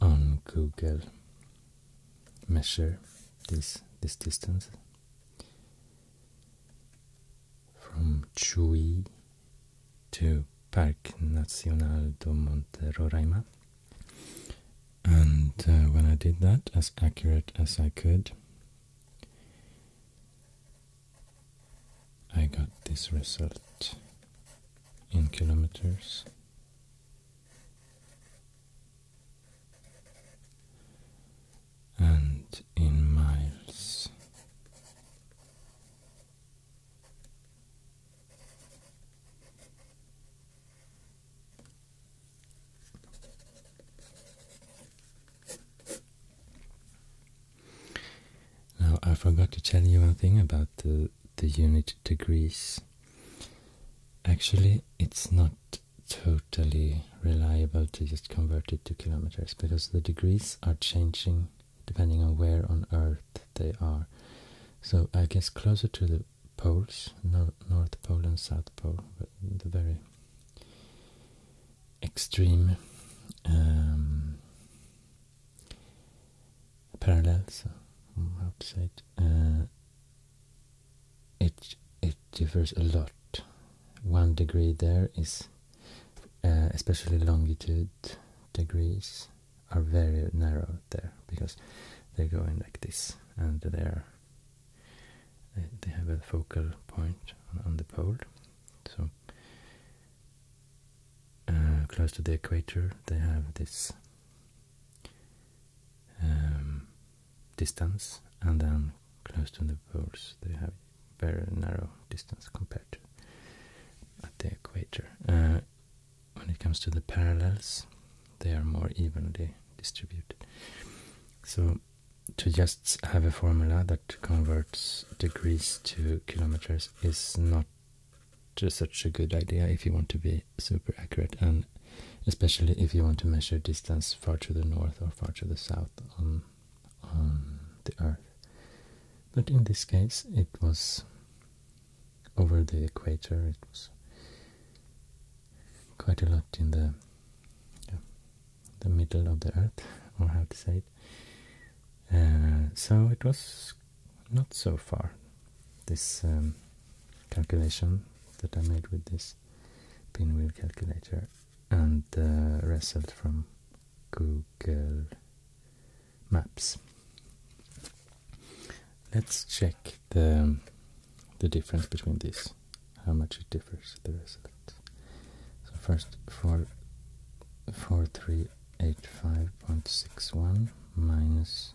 on Google measure this this distance from Chuy to Parque Nacional do Monte Roraima and uh, when I did that as accurate as I could I got this result in kilometers and in miles. Now, I forgot to tell you one thing about the the unit degrees. Actually, it's not totally reliable to just convert it to kilometers because the degrees are changing depending on where on earth they are. So I guess closer to the poles, North Pole and South Pole, the very extreme um, parallels uh, mm, opposite uh, it it differs a lot one degree there is uh, especially longitude degrees are very narrow there because they're going like this and there. they have a focal point on the pole so uh, close to the equator they have this um, distance, and then close to the poles they have very narrow distance compared to at the equator. Uh, when it comes to the parallels, they are more evenly distributed. So to just have a formula that converts degrees to kilometers is not just such a good idea if you want to be super accurate and especially if you want to measure distance far to the north or far to the south on, on the earth. But in this case it was over the equator, it was quite a lot in the the middle of the earth, or how to say it. Uh, so it was not so far. This um, calculation that I made with this pinwheel calculator and the result from Google Maps. Let's check the the difference between these, how much it differs the result. So first four four three eight five point six one minus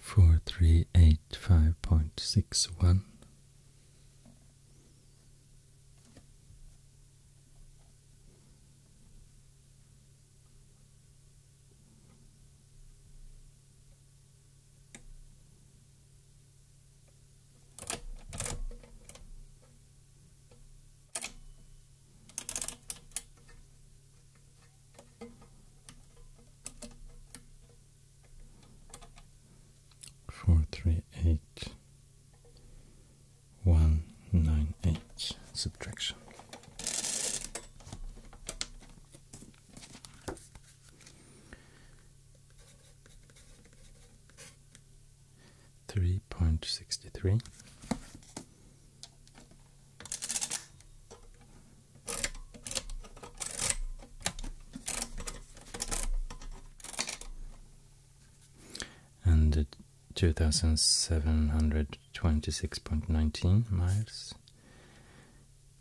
Four three eight five point six one. Four three eight one nine eight subtraction. Three point sixty three. And two thousand seven hundred twenty six point nineteen miles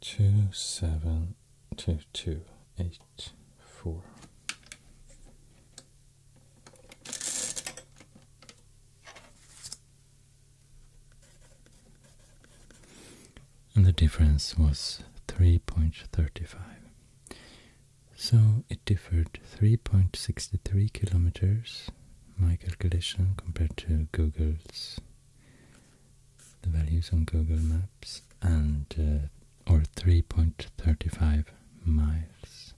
Two seven two two eight four and the difference was 3.35 so it differed 3.63 kilometers my calculation compared to google's the values on google maps and uh, or 3.35 miles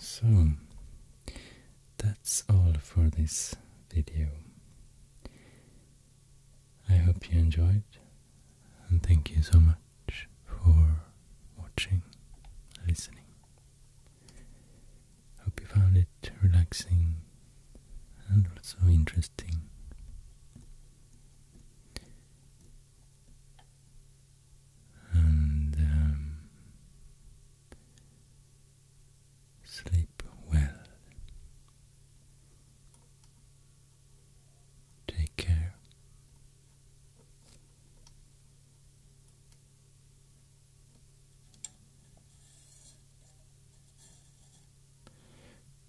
so, that's all for this video. I hope you enjoyed and thank you so much for watching, listening. Hope you found it relaxing and also interesting. And um, sleep well. Take care.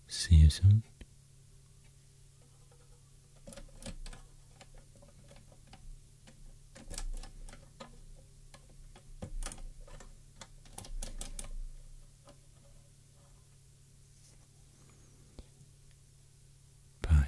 See you soon. Bye.